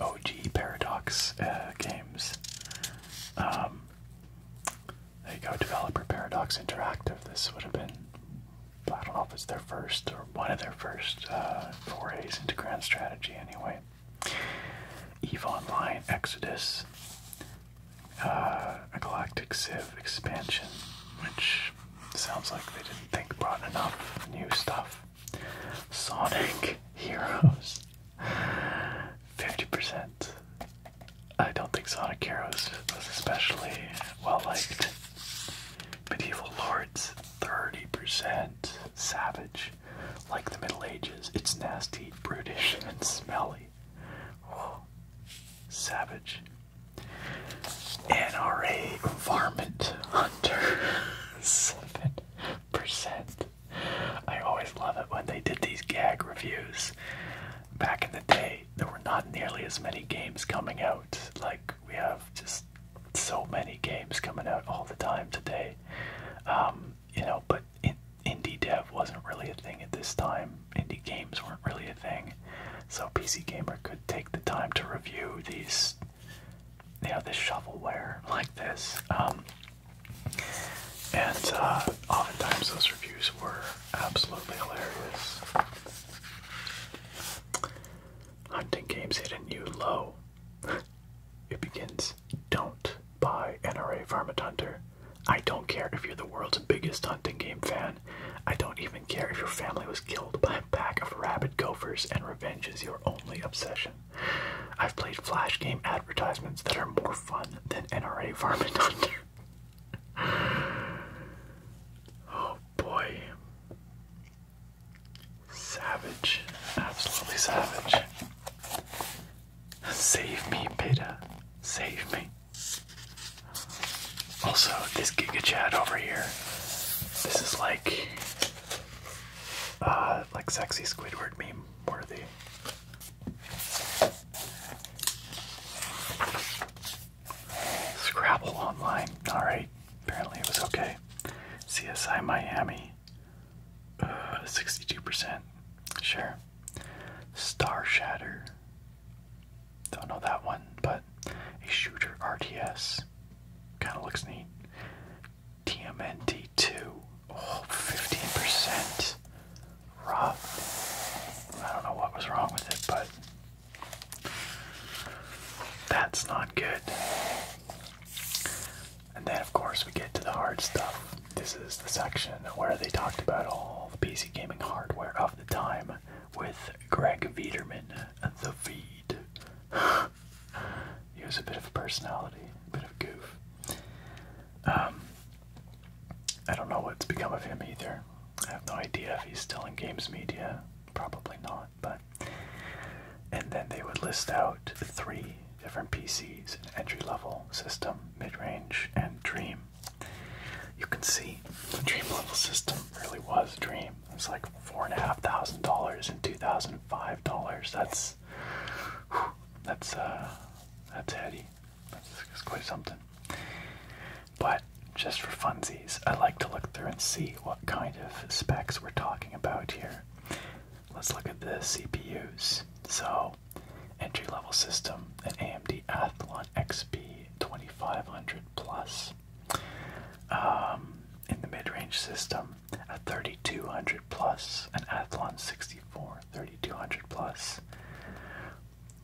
OG Paradox uh, games. Um, there you go, Developer Paradox Interactive. This would have been, I don't know if it's their first or one of their first uh, forays into grand strategy anyway. EVE Online, Exodus, a uh, Galactic Civ expansion, which sounds like they didn't think brought enough new stuff. Sonic [LAUGHS] Heroes, 50%. I don't think Sonic Heroes was especially well liked. Medieval Lords, 30%. Savage. Like the Middle Ages, it's nasty, brutish, [LAUGHS] and smelly. savage. NRA Varmint Hunter, 7%. [LAUGHS] I always love it when they did these gag reviews. Back in the day, there were not nearly as many games coming out. Like, we have just so many games coming out all the time today. Um, you know, but indie dev wasn't really a thing at this time, indie games weren't really a thing. So, PC Gamer could take the time to review these, you know, this shovelware [LAUGHS] like this. Um, and uh, oftentimes those reviews were absolutely hilarious. Hunting games hitting you low. [LAUGHS] it begins. Don't buy NRA Varmint Hunter. I don't care if you're the world's biggest hunting game fan. I don't even care if your family was killed by a pack of rabid gophers and revenge is your only obsession. I've played flash game advertisements that are more fun than NRA Varmint [LAUGHS] Hunter oh boy. Savage. Absolutely savage. Save me, Beta. Save me. Also, this Giga Chat over here. This is like uh like sexy Squidward meme worthy. Scrabble online. Alright. Apparently it was okay. CSI Miami. 62%. Uh, sure. Star Shatter. Don't know that one, but a shooter RTS. Kind of looks neat. TMNT2. Oh, 15% rough. I don't know what was wrong with it, but that's not good. And then, of course, we get to the hard stuff. This is the section where they talked about all the PC gaming hardware of the time with Greg Viederman, the Veed. [SIGHS] he was a bit of a personality, a bit of a goof. Um, I don't know what's become of him either. I have no idea if he's still in games media. Probably not, but. And then they would list out three different PCs an entry level, system, mid range, and dream. You can see the dream level system really was dream. It's like four and a half thousand dollars and two thousand five dollars. That's whew, that's uh that's heady. That's, quite something. But just for funsies, I like to look through and see what kind of specs we're talking about here. Let's look at the CPUs. So, entry level system, an AMD Athlon XP 2500 plus. Um, in the mid range system, a 3200 plus, an Athlon 64 3200 plus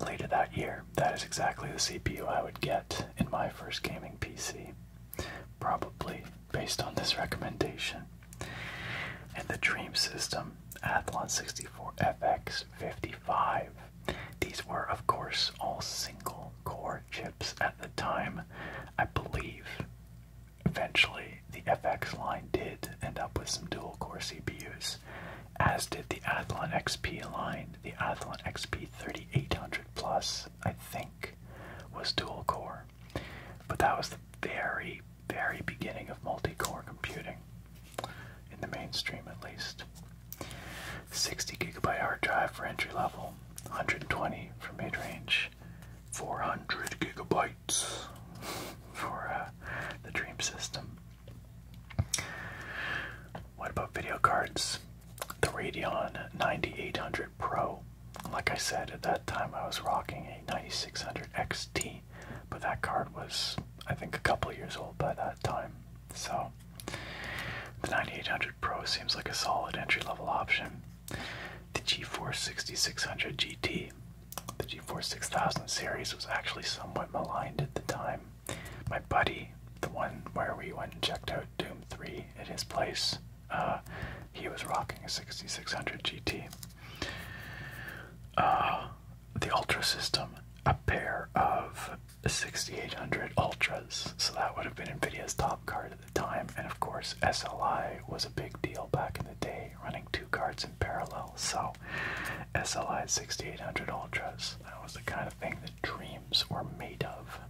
later that year. That is exactly the CPU I would get in my first gaming PC, probably based on this recommendation. And the Dream System Athlon 64FX55. These were, of course, all single core chips at the time. I believe eventually the FX line did end up with some dual core CPUs as did the Athlon XP line. The Athlon XP 3800 Plus, I think, was dual core, but that was the very, very beginning of multi core computing, in the mainstream at least. 60 gigabyte hard drive for entry level, 120 for mid range, 400 gigabytes [LAUGHS] for uh, the Dream System. What about video cards? The Radeon 9800 Pro. Like I said, at that time I was rocking a 9600 XT, but that card was, I think, a couple years old by that time. So the 9800 Pro seems like a solid entry level option. The GeForce 6600 GT. The GeForce 6000 series was actually somewhat maligned at the time my buddy, the one where we went and checked out Doom 3 at his place, uh, he was rocking a 6600 GT. Uh, the Ultra System, a pair of 6800 Ultras, so that would have been NVIDIA's top card at the time, and of course, SLI was a big deal back in the day, running two cards in parallel, so SLI 6800 Ultras. That was the kind of thing that dreams were made of.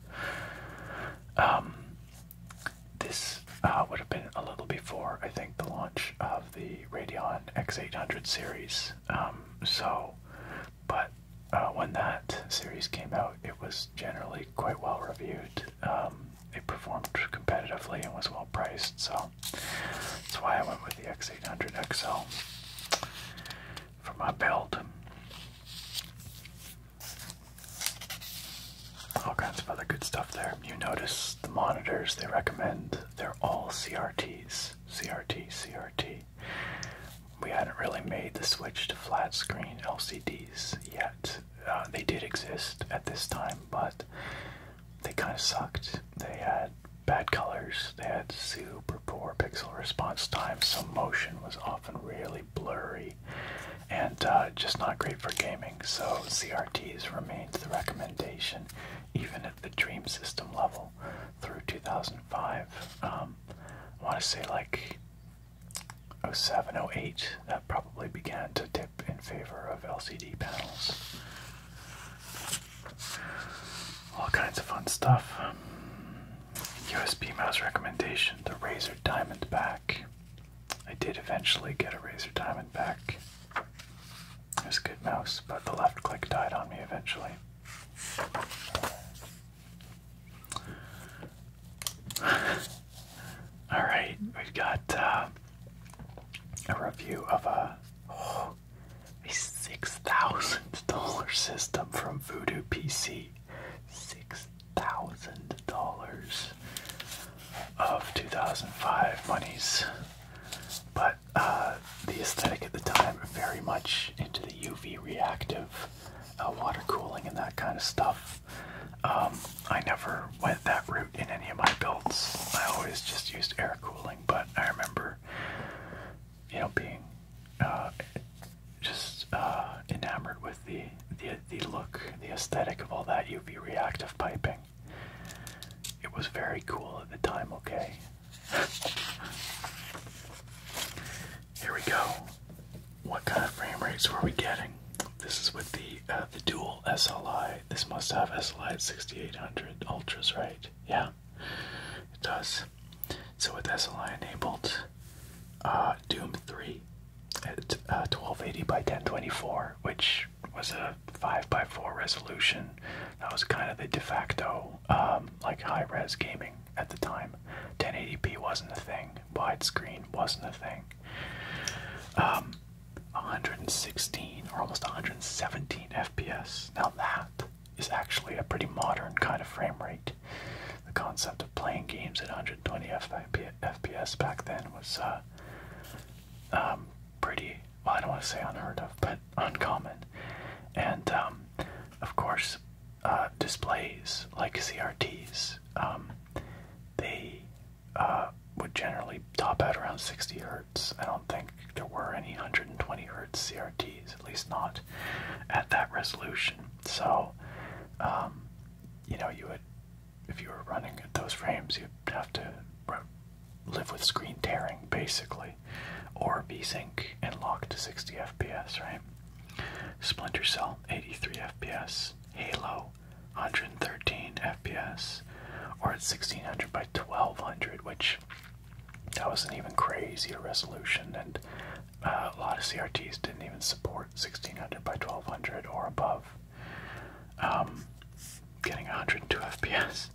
Um, this uh, would have been a little before, I think, the launch of the Radeon X800 series. Um, so, but uh, when that series came out, it was generally quite well reviewed. Um, it performed competitively and was well priced, so that's why I went with the X800 XL for my belt. All kinds of other good stuff there. You notice the monitors they recommend, they're all CRTs. CRT, CRT. We hadn't really made the switch to flat screen LCDs yet. Uh, they did exist at this time, but they kind of sucked. They had bad colors. They had super poor pixel response time, so motion was often really blurry and uh, just not great for gaming. So CRTs remained the recommendation, even at the Dream System level through 2005. Um, I want to say like 07, 08, that probably began to dip in favor of LCD panels all kinds of fun stuff. USB mouse recommendation: the Razer Diamondback. I did eventually get a Razer Diamondback. It was a good mouse, but the left click died on me eventually. [SIGHS] Alright, we've got uh, a review of a a $6,000 system from Voodoo PC. $6,000 of 2005 monies. But uh, the aesthetic at the time, very much into the UV reactive uh, water cooling and that kind of stuff. Um, I never went that route in any of my builds. I always just used air cooling, but I remember you know, being uh, just uh, enamored with the, the the look, the aesthetic of all that UV reactive piping. It was very cool at the time. Okay. [LAUGHS] Here we go. What kind of frame rates were we getting? This is with the uh, the dual SLI. This must have SLI at 6800 ultras, right? Yeah it does. So with SLI enabled, uh, Doom 3 at 1280 uh, by 1024, which was a 5x4 resolution. That was kind of the de facto um, like high res gaming at the time. 1080p wasn't a thing, widescreen wasn't a thing. 116 um, or almost 117 FPS. Now that is actually a pretty modern kind of frame rate. The concept of playing games at 120 FPS back then was uh, um, pretty, well, I don't want to say unheard of, but uncommon. And um, of course, uh, displays like CRTs, um, they uh, would generally top out around 60 hertz. I don't think there were any 120 hertz CRTs at least not at that resolution. So, um, you know, you would, if you were running at those frames, you'd have to live with screen tearing basically, or B-Sync and lock to 60 FPS, right? Splinter Cell 83 FPS, Halo 113 FPS, or at 1600 by 1200, which that was an even crazier resolution, and uh, a lot of CRTs didn't even support 1600 by 1200 or above. Um, getting 102 FPS.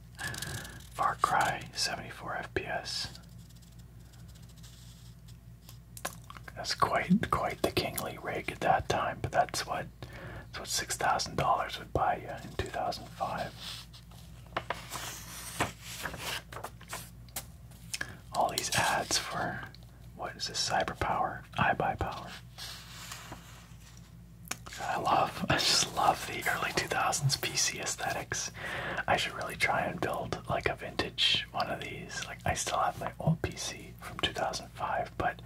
Far Cry 74 FPS. That's quite quite the kingly rig at that time, but that's what what six thousand dollars would buy you in two thousand five all these ads for what is this cyber power i buy power i love i just love the early 2000s pc aesthetics i should really try and build like a vintage one of these like i still have my old pc from 2005 but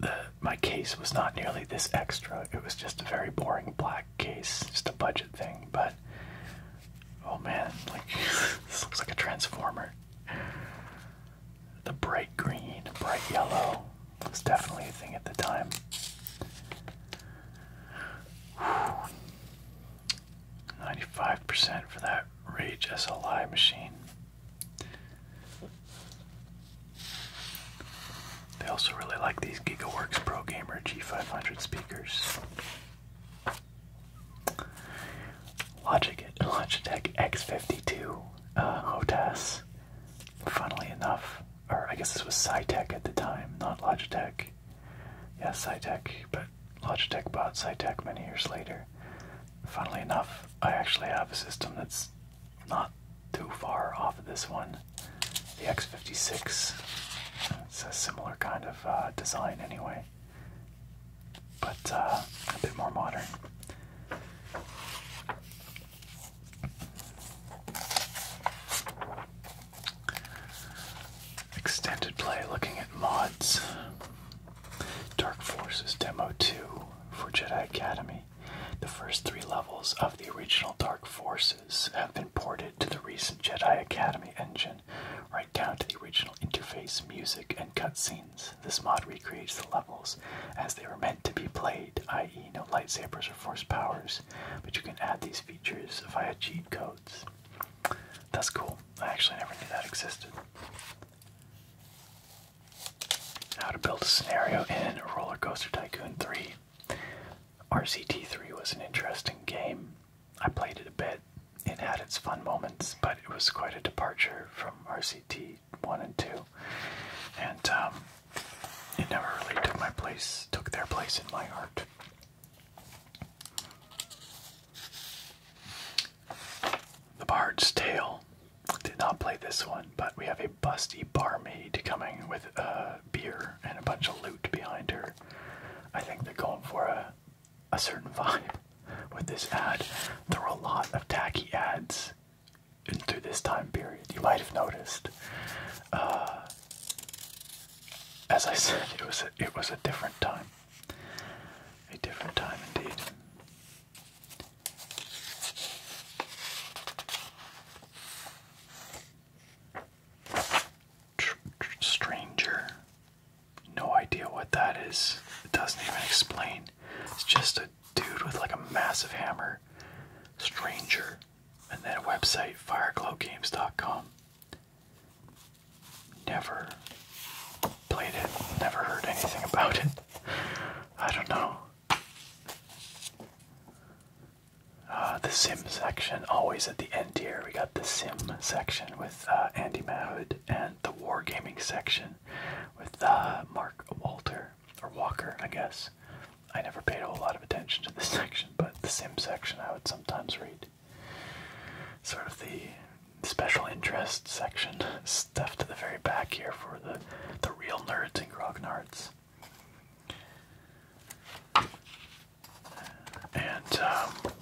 the my case was not nearly this extra it was just a very boring black case just a budget thing but Oh man, like [LAUGHS] this looks like a transformer. The bright green, bright yellow was definitely a thing at the time. Ninety-five percent for that Rage SLI machine. They also really like these GigaWorks Pro Gamer G500 speakers. Logitech, Logitech X52 uh, HOTAS. Funnily enough, or I guess this was SciTech at the time, not Logitech. Yes, SciTech, but Logitech bought SciTech many years later. Funnily enough, I actually have a system that's not too far off of this one. The X56. It's a similar kind of uh, design anyway, but uh, a bit more modern. Extended play looking at mods. Dark Forces Demo 2 for Jedi Academy. The first three levels of the original Dark Forces have been ported to the recent Jedi Academy engine right down to the original interface, music, and cutscenes. This mod recreates the levels as they were meant to be played, i.e., no lightsabers or force powers, but you can add these features via cheat codes. That's cool. I actually never knew that existed. How to build a scenario in Roller Coaster Tycoon 3. RCT3 was an interesting game. I played it a bit. It had its fun moments, but it was quite a departure from RCT 1 and 2. And um, it never really took my place, took their place in my heart. The Bard's Tale. Did not play this one, but we have a busty barmaid coming with a beer and a bunch of loot behind her. I think they're going for a a certain [LAUGHS] vibe with this ad. Through a lot of tacky ads in, through this time period. You might have noticed. Uh, as I said, it was a, it was a different time. A different time indeed. Stranger no idea what that is. It doesn't even explain. It's just a dude with like a massive hammer. Stranger. And that website, fireglowgames.com. Never played it, never heard anything about it. I don't know. Uh, the sim section, always at the end here, we got the sim section with uh, Andy Mahood and the Wargaming section with uh, Mark Walter or Walker, I guess. I never paid a whole lot of attention to this [LAUGHS] section, but the sim section I would sometimes read. Sort of the special interest section, [LAUGHS] stuff to the very back here for the the real nerds and grognards. And um,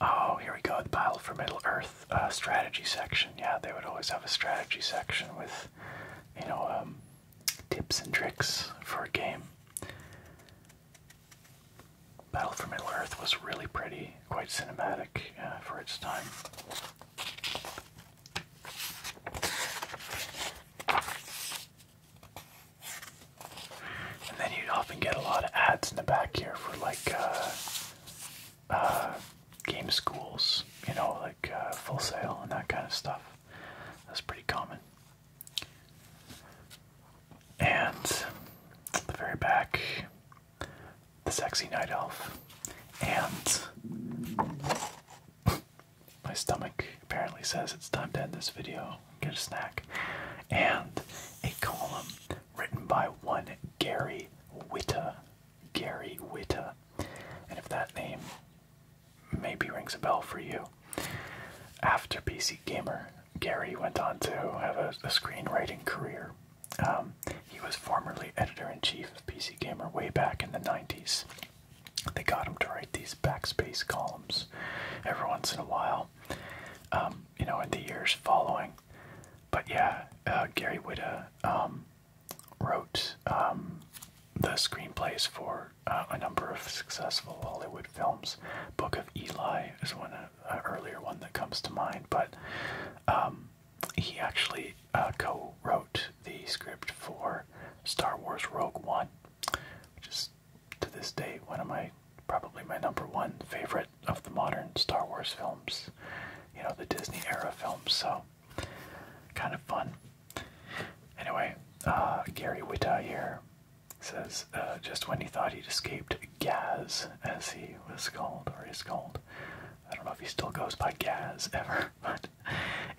oh, here we go. The Battle for Middle Earth uh, strategy section. Yeah, they would always have a strategy section with, you know, um, tips and tricks for a game. Battle for Middle Earth was really pretty, quite cinematic uh, for its time. And then you often get a lot of ads in the back here for like uh, uh, game schools, you know, like uh, full sale and that kind of stuff. That's pretty common. And the very back, the sexy night elf. And my stomach apparently says it's time to end this video, get a snack, and a column written by one Gary Witta. Gary Witta. And if that name maybe rings a bell for you. After PC Gamer, Gary went on to have a, screenwriting career. Um, he was formerly editor in chief of PC Gamer way back in the 90s. They got him to write these backspace columns every once in a while, um, you know, in the years following. But yeah, uh, Gary Whitta um, wrote um, the screenplays for uh, a number of successful Hollywood films. Book of Eli is one, uh, earlier one that comes to mind, but he actually uh, co-wrote the script for Star Wars Rogue One which is to this day one of my probably my number one favorite of the modern Star Wars films, you know, the Disney era films, so kind of fun. Anyway, uh, Gary Witta here says, uh, just when he thought he'd escaped Gaz, as he was called, or is called, I don't know if he still goes by Gaz ever, [LAUGHS] but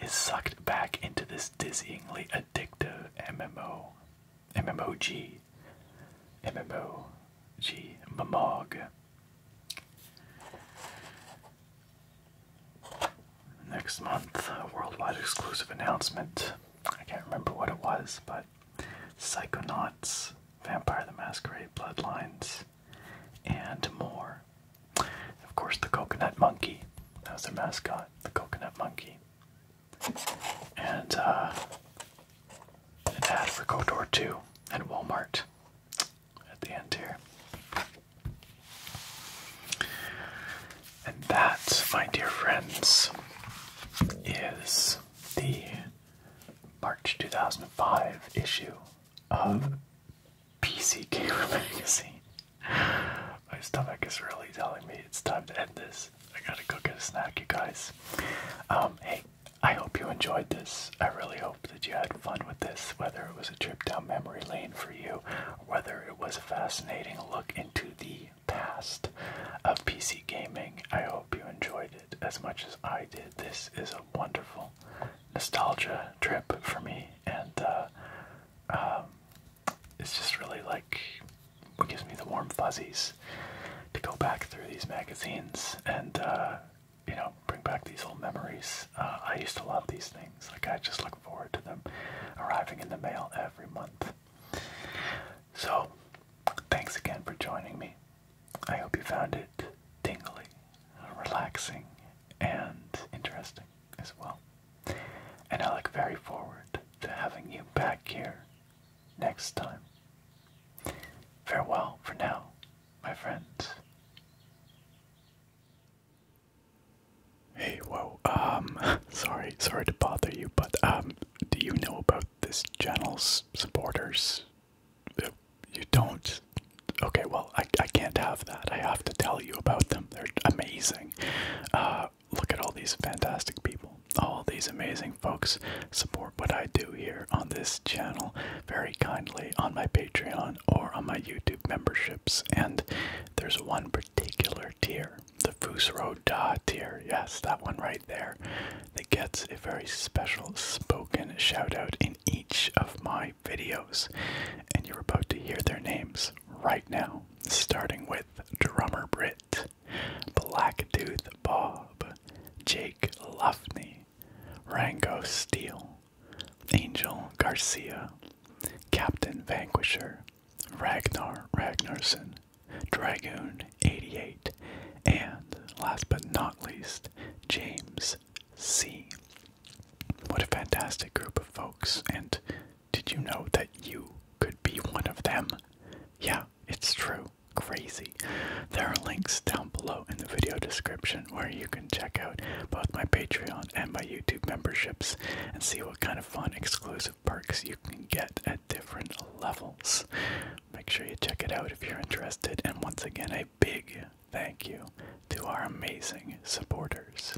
is sucked back into this dizzyingly addictive stick MMO, MMOG, MMOG, MMOG. Next month, a worldwide exclusive announcement. I can't remember what it was, but Psychonauts, Vampire the Masquerade, Bloodlines, and more. Of course, the Coconut Monkey. That was their mascot, the Coconut Monkey and uh, an ad for KOTOR 2 and Walmart at the end here. And that, my dear friends, is the March 2005 issue of PCK [LAUGHS] Magazine. My stomach is really telling me it's time to end this. I gotta go get a snack, you guys. Um, hey, I hope you enjoyed this. I really hope that you had fun with this, whether it was a trip down memory lane for you, whether it was a fascinating look into the past of PC gaming. I hope you enjoyed it as much as I did. This is a wonderful nostalgia trip for me, and uh, um, it's just really like what gives me the warm fuzzies to go back through these magazines and uh, you know bring back these old memories. Uh, I used to love these things. Like I just look forward to them arriving in the mail every month. So, thanks again for joining me. I hope you found it tingly, relaxing, and interesting as well. And I look very forward to having you back here next time. Farewell for now, my friends. Hey, whoa, um, [LAUGHS] sorry, sorry to bother you, but, um, do you know about this channel's supporters? Uh, you don't? Okay, well, I, I can't have that. I have to tell you about them. They're amazing. Uh, uh, look at all these fantastic people, all these amazing folks support what I do here on this channel very kindly on my Patreon or on my YouTube memberships. And there's one particular tier, the Fusro Da tier. Yes, that one right there. That gets a very special spoken shout out in each of my videos. And you're about to hear their names right now, starting with Drummer Brit. Smith, Blacktooth Bob, Jake Luffney, Rango Steele, Angel Garcia, Captain Vanquisher, Ragnar Ragnarsson, Dragoon 88, and last but not least, James C. What a fantastic group of folks, and did you know that you could be one of them? Yeah, it's true. Crazy. There are links down below in the video description where you can check out both my Patreon and my YouTube memberships and see what kind of fun exclusive perks you can get at different levels. Make sure you check it out if you're interested. And once again, a big thank you to our amazing supporters.